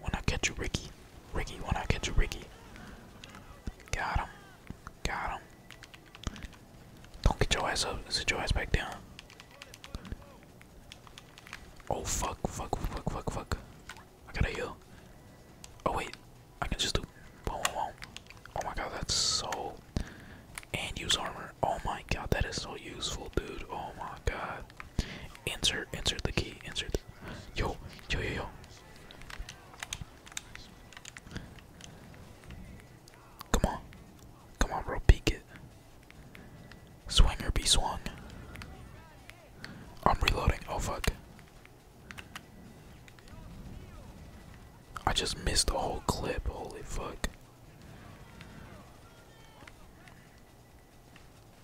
When I catch you, Ricky? Ricky, when I catch you, Ricky? Got him. Got him. Don't get your ass up. Sit your ass back down. Oh fuck, fuck, fuck, fuck, fuck. I gotta heal. Oh wait, I can just do boom, Oh my god, that's so. And use armor. Oh my god, that is so useful, dude. Oh my god. Insert, insert the key, insert. The... Yo, yo, yo, yo. Come on, come on, bro. Peek it. Swing be swung. I'm reloading. Oh fuck. I just missed the whole clip. Holy fuck.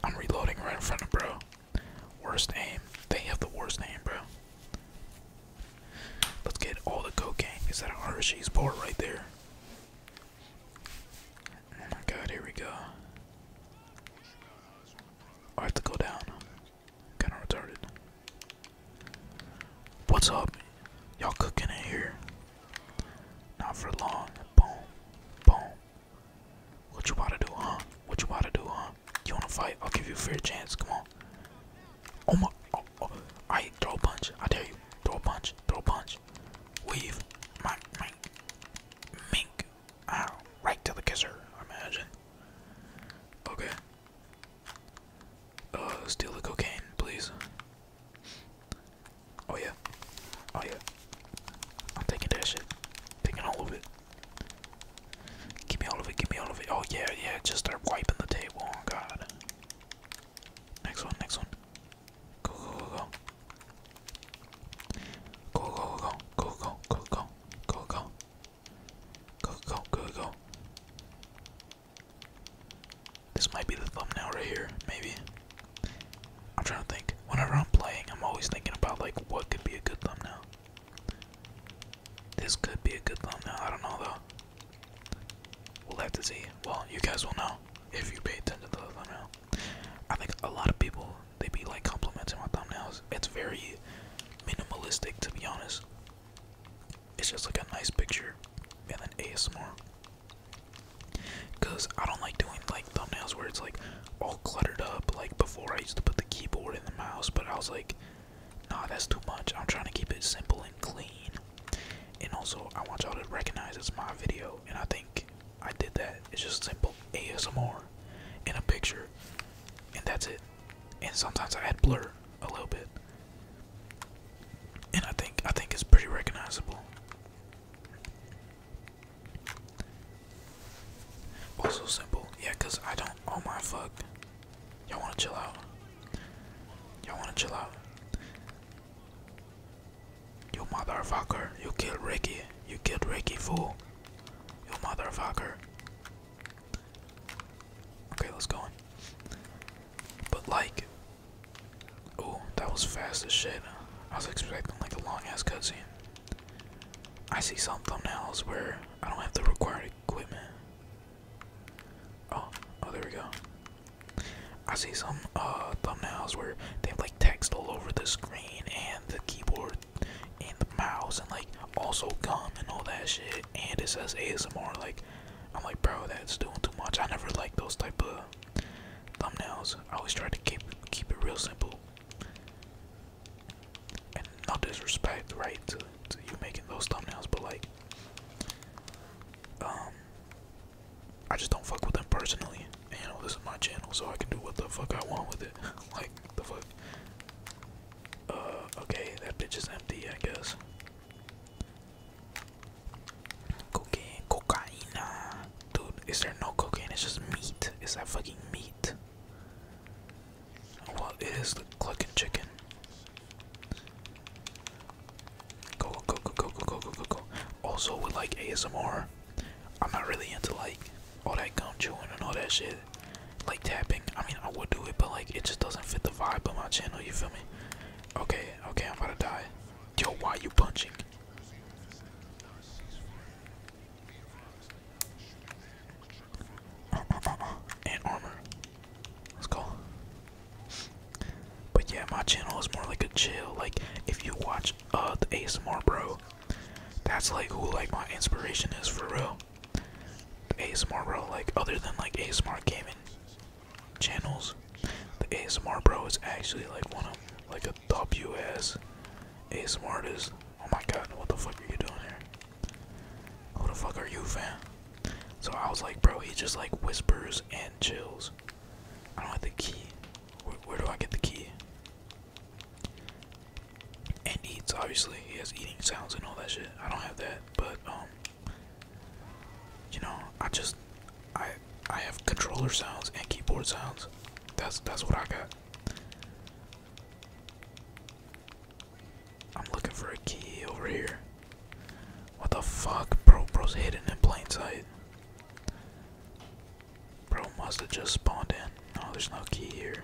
I'm reloading right in front of bro. Worst aim. They have the worst aim, bro. Let's get all the cocaine. Is that an RSG's bar right there? Oh my god, here we go. I have to go down. Kinda retarded. What's up? Y'all cooking in here? Not for long. Boom. Boom. What you want to do, huh? What you want to do, huh? You wanna fight? I'll give you a fair chance. Come on. Oh my. Oh, oh. Alright, throw a punch. I dare you. Throw a punch. Throw a punch. Weave. My. Mink. Ow. Right to the kisser, imagine. Okay. Uh, steal the cocaine, please. Oh yeah, oh yeah. I'm taking that shit. Taking all of it. Give me all of it. Give me all of it. Oh yeah, yeah. Just start wiping the table. Oh god. Next one. Next one. go go. Go go go go go go go go go go Go, go, go, go. This might be the thumbnail right here, maybe. I'm trying to think. Whenever I'm playing, I'm always thinking about like what could be a good thumbnail. This could be a good thumbnail. I don't know though. We'll have to see. Well, you guys will know if you pay attention to the thumbnail. I think a lot of people they be like complimenting my thumbnails. It's very minimalistic to be honest. It's just like a nice picture and then ASMR. Cause I don't like doing like thumbnails where it's like all cluttered up. Like before, I used to put the keyboard in the mouse, but I was like, nah, that's too much. I'm trying to keep it simple and clean. And also, I want y'all to recognize it's my video, and I think I did that. It's just simple ASMR in a picture, and that's it and sometimes I add blur a little bit. And I think I think it's pretty recognizable. Also simple, yeah, cause I don't. Oh my fuck! Y'all wanna chill out? Y'all wanna chill out? You motherfucker! You killed Ricky! You killed Ricky, fool! You motherfucker! Okay, let's go in. But like, oh, that was fast as shit. I was expecting like a long ass cutscene. I see some thumbnails where I don't have the required equipment. Oh, oh, there we go. I see some uh, thumbnails where they have like text all over the screen and the keyboard and the mouse and like also gum and all that shit. And it says ASMR. Like I'm like, bro, that's doing too much. I never like those type of thumbnails. I always try to keep keep it real simple. And not disrespect, right, to, to you making those thumbnails, but like, um, I just don't fuck with them personally. And, you know, this is my channel, so I can do what the fuck I want with it. like, the fuck. Uh, okay, that bitch is empty, I guess. Cocaine, cocaina. Dude, is there no cocaine? It's just meat. Is that fucking meat? Well, it is the clucking chicken. Go, go, go, go, go, go, go, go, go. Also, with like ASMR, I'm not really into like all that gum chewing and all that shit like tapping. I mean, I would do it, but like it just doesn't fit the vibe of my channel. You feel me? Okay, okay, I'm about to die. Yo, why you punching? Uh, armor. Let's go. But yeah, my channel is more like a chill. Like if you watch uh, the ASMR bro, that's like who like my inspiration is for real. The ASMR bro, like other than like ASMR gaming channels, the ASMR bro is actually like one of like a W ass ASMR Is Oh my god, what the fuck are you doing here? Who the fuck are you, fam? So I was like, bro, he just like whispers and chills. I don't have the key. where do I get the key? And eats, obviously. He has eating sounds and all that shit. I don't have that, but um, you know i just i i have controller sounds and keyboard sounds that's that's what i got i'm looking for a key over here what the fuck bro bro's hidden in plain sight bro must have just spawned in no there's no key here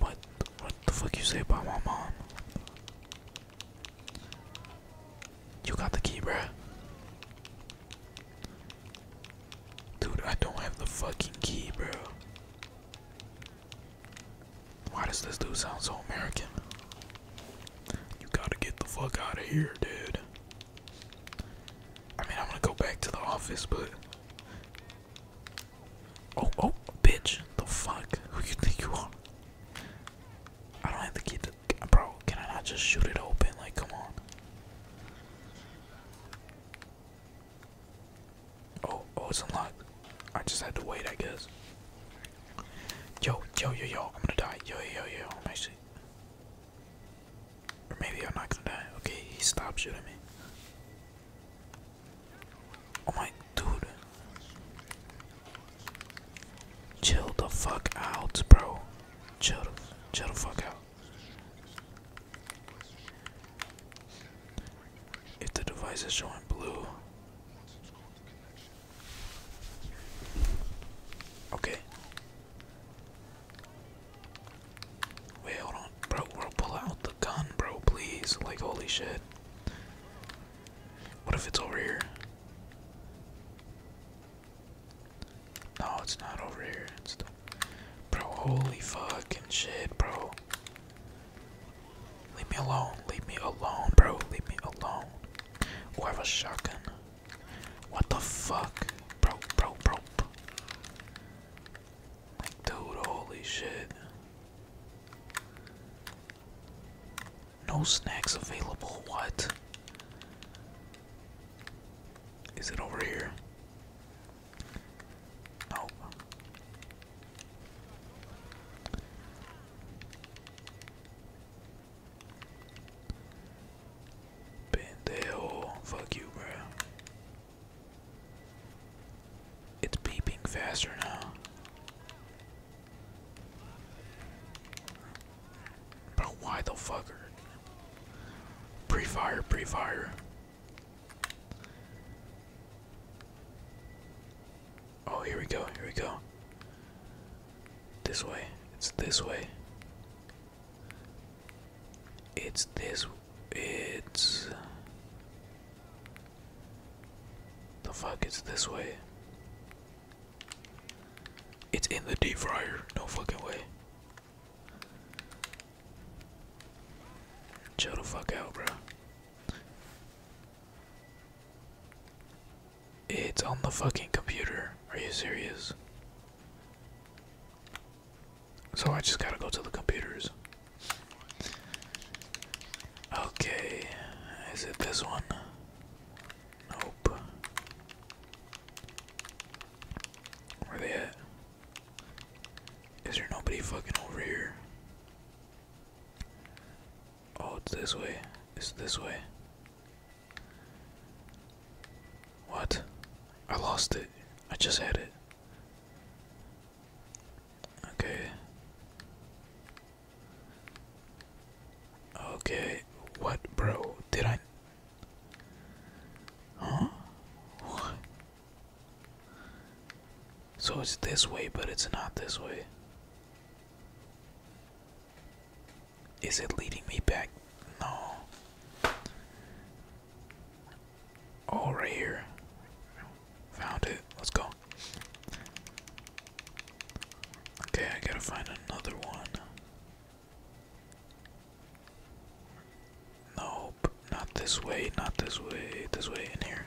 what what the fuck you say about my mom? You got the key, bruh. Dude, I don't have the fucking key, bro. Why does this dude sound so American? You gotta get the fuck out of here, dude. I mean, I'm gonna go back to the office, but Oh, oh, bitch. The fuck? Who you think you are? I don't have to get the. Bro, can I not just shoot it open? Like, come on. Oh, oh, it's unlocked. I just had to wait, I guess. Yo, yo, yo, yo, I'm gonna die. Yo, yo, yo, yo, I'm actually. Or maybe I'm not gonna die. Okay, he stopped shooting me. Oh my dude. Chill the fuck out, bro. Chill, chill the fuck out. If the device is showing blue. Okay. Wait, hold on. Bro, bro, pull out the gun, bro, please. Like, holy shit. What if it's over here? No, it's not over here. bro. Holy fucking shit, bro. Leave me alone. Leave me alone, bro. Leave me alone. Oh, I shotgun. What the fuck, bro, bro, bro. Like, dude, holy shit. No snacks available. What? Is it over here? Nope. Pendejo. Fuck you, bro. It's beeping faster now. But why the fucker? Pre-fire, pre-fire. Oh, here we go, here we go. This way, it's this way. It's this, it's... The fuck is this way? It's in the deep fryer. No fucking way. Chill the fuck out, bro. It's on the fucking computer. Are you serious? So I just gotta go to the computers. Okay, is it this one? Nope. Where they at? Is there nobody fucking over here? Oh, it's this way. It's this way. What? I lost it. I just had it. Okay. Okay. What, bro? Did I? Huh? What? So it's this way, but it's not this way. Is it leading me back? No. Oh, here. Found it. Let's go. Okay, I gotta find another one. Nope, not this way, not this way, this way, in here.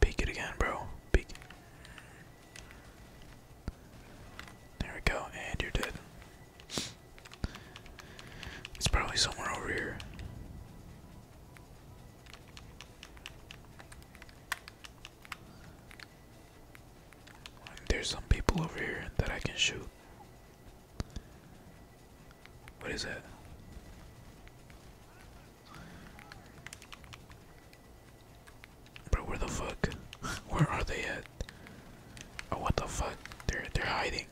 Peek it again, bro. Peek. There we go, and you're dead. It's probably somewhere over here. There's some people over here that I can shoot. What is that? Bro, where the fuck? where are they at? Oh, what the fuck? They're they're hiding.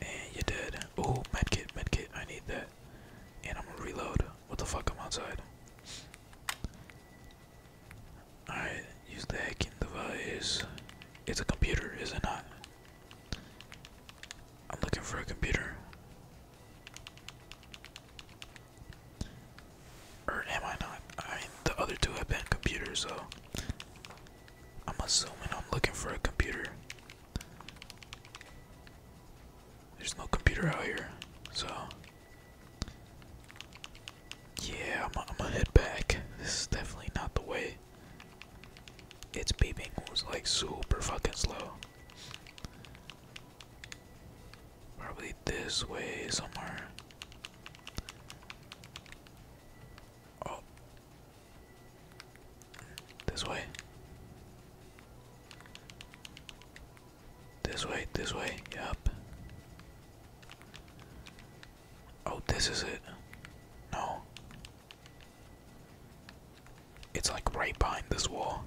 And you dead. Oh, medkit, medkit, I need that. And I'm gonna reload. What the fuck, I'm outside. Alright, use the hacking device. It's a computer, is it not? I'm looking for a computer. Or am I not? the other two have been computers, so I'm assuming I'm looking for a computer. There's no computer out here, so yeah, I'm gonna head back. This is definitely not the way. It's beeping was like super fucking slow. Probably this way somewhere. Oh, this way. This way, this way, yep. Oh, this is it. No. It's like right behind this wall.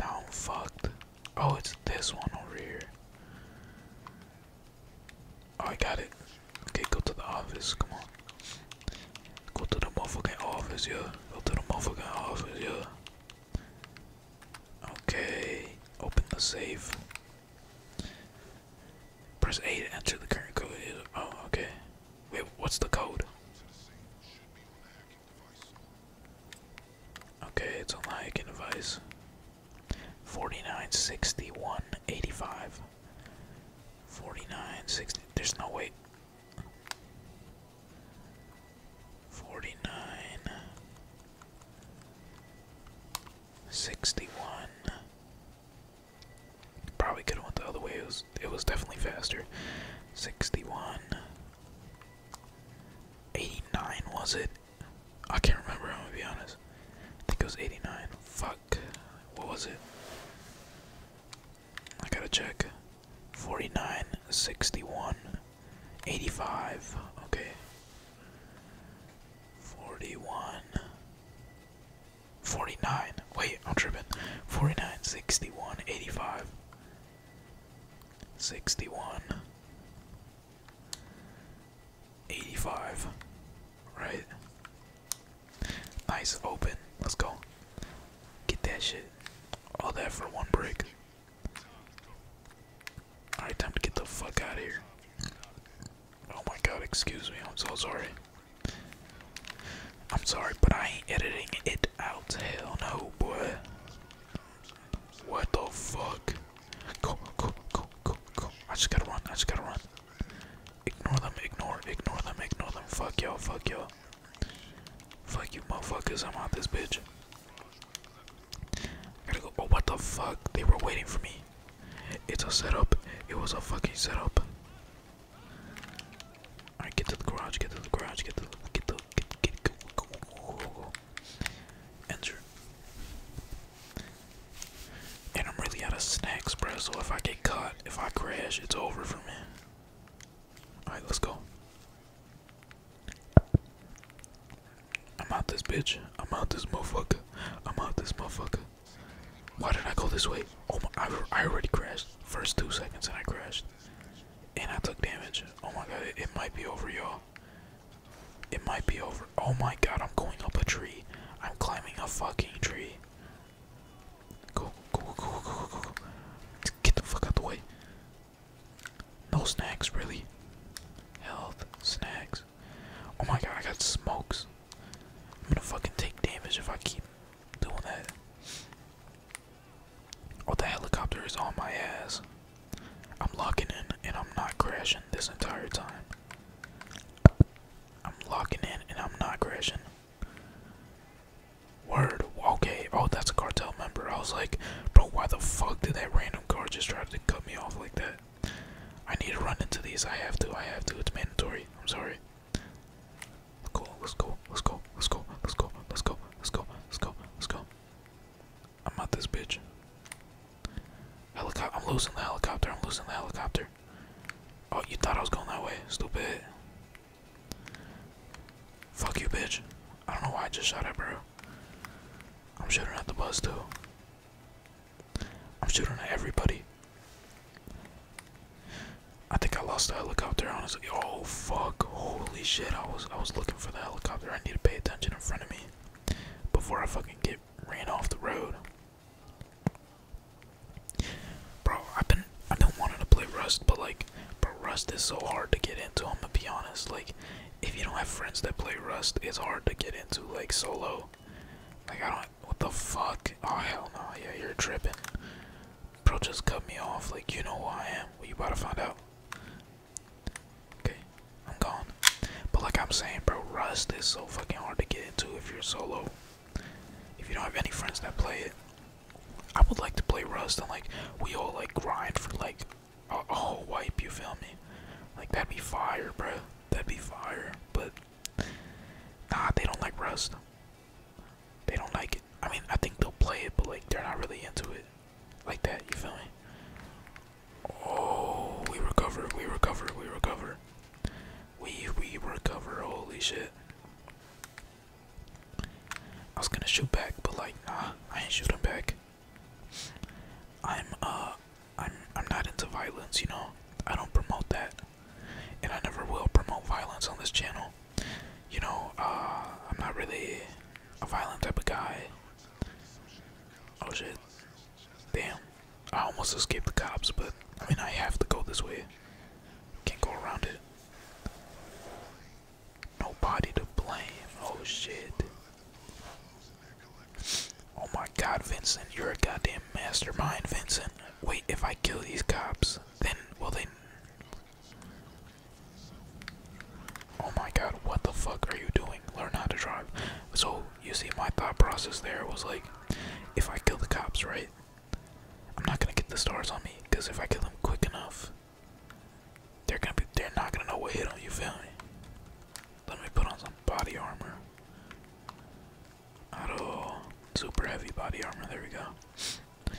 Now I'm fucked. Oh, it's this one over here. Oh, I got it. Okay, go to the office. Come on. Go to the motherfucking office, yeah. Go to the motherfucking office, yeah. Okay. Open the safe. Press A to enter the current code. Oh, okay. Wait, what's the code? Okay, it's on the hacking device. 49, 61, 85. 49, There's no way. 49, 61. Probably could have went the other way. It was, it was definitely faster. 61. 89 was it? I can't remember. I'm gonna be honest. I think it was '89. Fuck. What was it? I gotta check. 49, 61, 85. Okay. 41. 49. Wait, I'm tripping. 49, 61, 85. 61. 85. Right? Nice open. Let's go. Get that shit. All that for one brick. Alright, time to get the fuck out of here. Oh my god, excuse me. I'm so sorry. I'm sorry, but I ain't editing it out. Hell no, boy. What the fuck? Go, go, go, go, go. I just gotta run, I just gotta run. Ignore them, ignore, ignore them, ignore them. Fuck yo, fuck yo. Fuck you motherfuckers, I'm out this bitch. gotta go, oh what the fuck? They were waiting for me. It's a setup. It was a fucking setup. Alright, get to the garage, get to the garage, get the, get to, get, get, go, go, go, go. Enter. And I'm really out of snacks, bro. So if I get cut, if I crash, it's over for me. Alright, let's go. I'm out this bitch. I'm out this motherfucker. I'm out this motherfucker. Why did I go this way? Oh my, I, already crashed. First two seconds and I crashed. And I took damage. Oh my god, it might be over, y'all. It might be over. Oh my god, I'm going up a tree. I'm climbing a fucking tree. Go, go, go, go, go, go. Get the fuck out the way. No snacks, really. Health, snacks. Oh my god, I got smokes. I'm gonna fucking take damage if I keep doing that. Oh, the helicopter is on my ass. I'm locking in and I'm not crashing this entire time. I'm locking in and I'm not crashing. Word, okay. Oh, that's a cartel member. I was like, bro, why the fuck did that random car just try to cut me off like that? I need to run into these. I have to. I have to. It's mandatory. I'm sorry. Cool. Let's go. Let's go. Let's go. Let's go. Let's go. Let's go. Let's go. Let's go. Let's go. I'm not this bitch. Helicopter. I'm losing the helicopter. I'm losing the helicopter. Oh, you thought I was going that way. Stupid. Fuck you, bitch. I don't know why I just shot at bro. I'm shooting at the bus, too. I'm shooting at everybody. I think I lost the helicopter, honestly. Oh, fuck. Holy shit. I was, I was looking for the helicopter. I need to pay attention in front of me before I fucking get ran off the road. Bro, I've been I've been wanting to play Rust, but like, bro, Rust is so hard to get into. I'm gonna be honest. Like, if you don't have friends that play Rust, it's hard to get into like solo. Like, I don't. What the fuck? Oh hell no! Yeah, you're tripping. Bro, just cut me off. Like, you know who I am. Well, you about to find out. Okay, I'm gone. But like I'm saying, bro, Rust is so fucking hard to get into if you're solo. If you don't have any friends that play it, I would like to play Rust and like we all like grind for like a, a whole wipe. You feel me? Like that'd be fire, bro. That'd be fire. But nah, they don't like Rust. They don't like it. I mean, I think they'll play it, but like they're not really into it like that. You feel me? Oh, we recover, we recover, we recover. We we recover, holy shit. I was gonna shoot back, but like nah, I ain't shooting back. I'm uh I'm I'm not into violence, you know. I don't promote that. And I never will promote violence on this channel. You know, uh I'm not really a violent type of guy. Oh shit. Damn. I almost escaped the cops, but I mean, I have to go this way. Can't go around it. Nobody to blame. Oh shit. Oh my god, Vincent. You're a goddamn mastermind, Vincent. Wait, if I kill these cops, then will they. Oh my god, what the fuck are you doing? learn how to drive. So you see, my thought process there was like, if I kill the cops, right, I'm not gonna get the stars on me, cause if I kill them quick enough, they're gonna be, they're not gonna know what hit them. You feel me? Let me put on some body armor. Auto, super heavy body armor. There we go.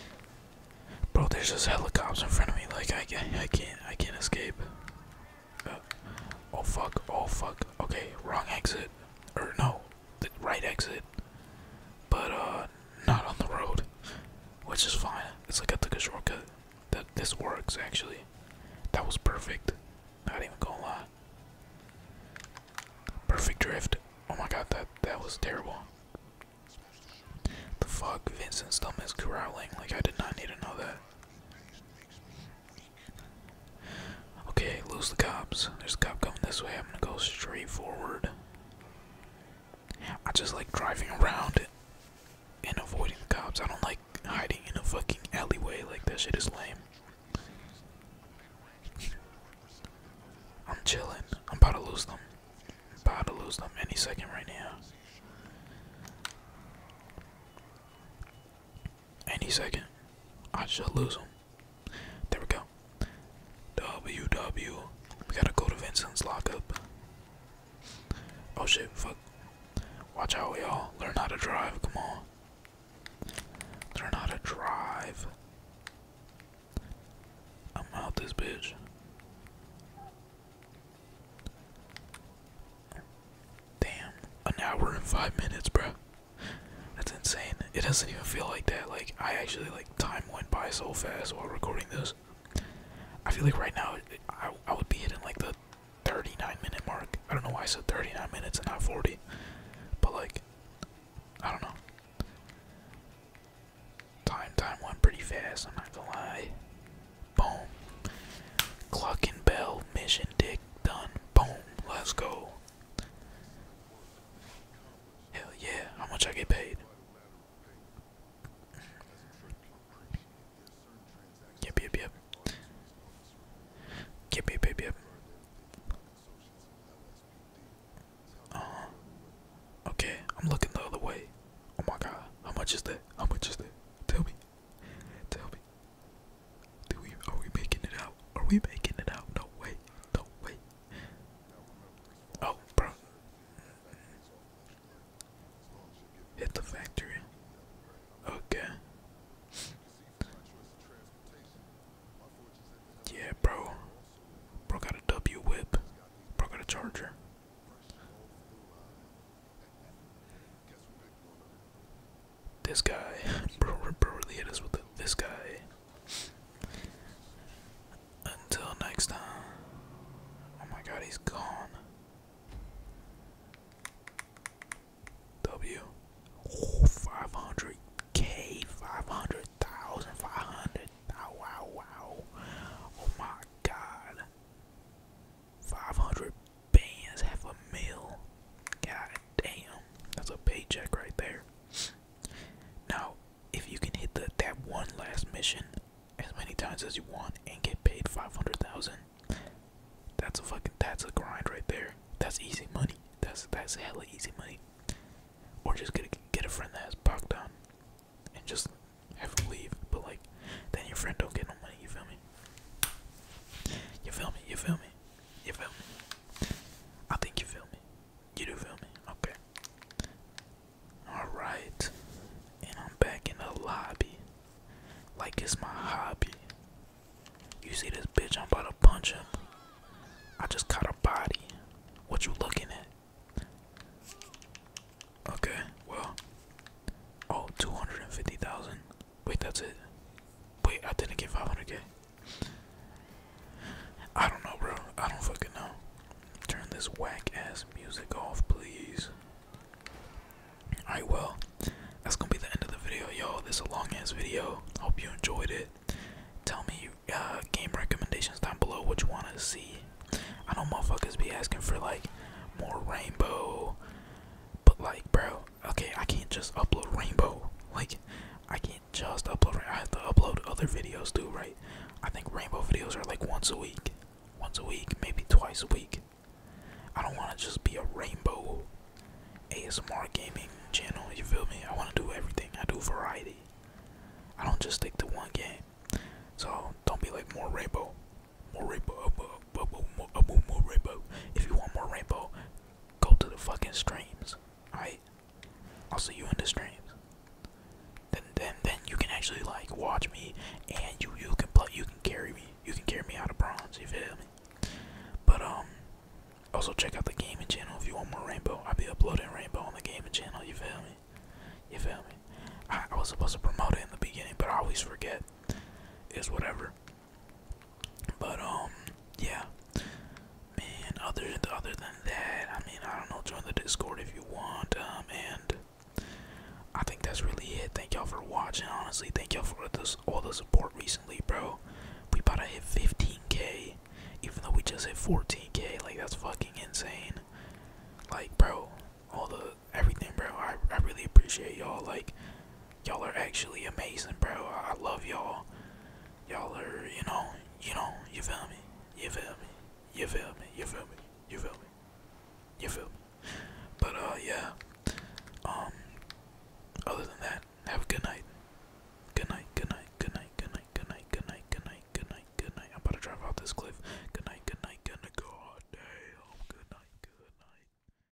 Bro, there's just helicopters in front of me. Like I, I, I can't, I can't escape. Oh, oh fuck, oh fuck. Okay, wrong exit. Or no, the right exit. But uh not on the road. Which is fine. It's like I took a shortcut. That this works actually. That was perfect. Not even gonna lie. Perfect drift. Oh my god, that that was terrible. The fuck, Vincent's stomach's growling. Like I did not need to know that. Okay, lose the cops. There's a cop coming this way. I'm gonna go straight forward. I just like driving around and avoiding the cops. I don't like hiding in a fucking alleyway. Like, that shit is lame. I'm chilling. I'm about to lose them. I'm about to lose them any second right now. Any second, I should lose him. There we go. W W. We gotta go to Vincent's lockup. Oh shit, fuck. Watch out, y'all. Learn how to drive. Come on. Learn how to drive. I'm out this bitch. Damn, an hour and five minutes, bro. That's insane. It doesn't even feel like that. Like I actually like time went by so fast while recording this. I feel like right now I I would be hitting like the 39 minute mark. I don't know why I said 39 minutes and not 40, but like I don't know. Time time went pretty fast. I'm not gonna lie. Boom. Clock and bell. Mission dick done. Boom. Let's go. Hell yeah. How much I get paid? Yep, yep, yep. Yep, yep, yep, yep. Uh-huh. Okay, I'm looking the other way. Oh my god. How much is that? How much is that? Tell me. Tell me. Do we are we making it out? Are we making it out? No way. No way. Oh, bro. Hit the factory. Okay. Yeah, bro. Bro got a W whip. Bro got a charger. This guy, bro, bro, really hit us with the, this guy. Until next time. Oh my god, he's gone. W. Oh, 500k, 500,000, 500. Oh, wow, wow. Oh my god. 500 bands, half a mil. God damn, that's a paycheck right there. Now, if you can hit that one last mission as many times as you want and get paid 500,000, that's a fucking, that's a grind right there. That's easy money. That's, that's hella easy money. Or just get a, get a friend that has Bogdan and just have him leave. But like, then your friend don't get no money, you feel me? You feel me? You feel me? You feel me? I think you feel me. You do feel me? Okay. Alright. And I'm back in the lobby. Like it's my hobby. You see this bitch? I'm about to punch him. I just caught a body. What you looking at? Okay, well. Oh, 250,000. Wait, that's it. Wait, I didn't get 500k. I don't know, bro. I don't fucking know. Turn this whack ass music off, please. I will. that's gonna be the end of the video, y'all. This is a long ass video. Hope you enjoyed it. Tell me uh, game recommendations down below what you want to see. I know motherfuckers be asking for like more rainbow, but like, bro, okay, I can't just upload Rainbow. Like, I can't just upload. I have to upload other videos too, right? I think Rainbow videos are like once a week, once a week, maybe twice a week. I don't want to just be a Rainbow ASMR gaming channel. You feel me? I want to do everything. I do variety. I don't just stick to one game. So don't be like more Rainbow, more Rainbow, if you want more rainbow, go to the fucking streams. Alright? I'll see you in the streams. Then then then you can actually like watch me and you you can play you can carry me. You can carry me out of bronze, you feel me? But um also check out the gaming channel if you want more rainbow. I'll be uploading rainbow on the gaming channel, you feel me? You feel me? I, was supposed to promote it in the beginning, but I always forget. Is whatever. But um, yeah, man. Other other than that, I mean, I don't know. Join the Discord if you want. Um, and I think that's really it. Thank y'all for watching. Honestly, thank y'all for this, all the support recently, bro. We about to hit 15k, even though we just hit 14k. Like that's fucking insane. Like, bro, all the everything, bro. I I really appreciate y'all. Like, y'all are actually amazing, bro. I love y'all. Y'all are, you know, you know, you feel me? You feel me? You feel me? You feel me? You feel me? You feel me? But uh, yeah. Um. Other than that, have a good night. Good night. Good night. Good night. Good night. Good night. Good night. Good night. Good night. I'm about to drive off this cliff. Good night. Good night. Good night. Good night.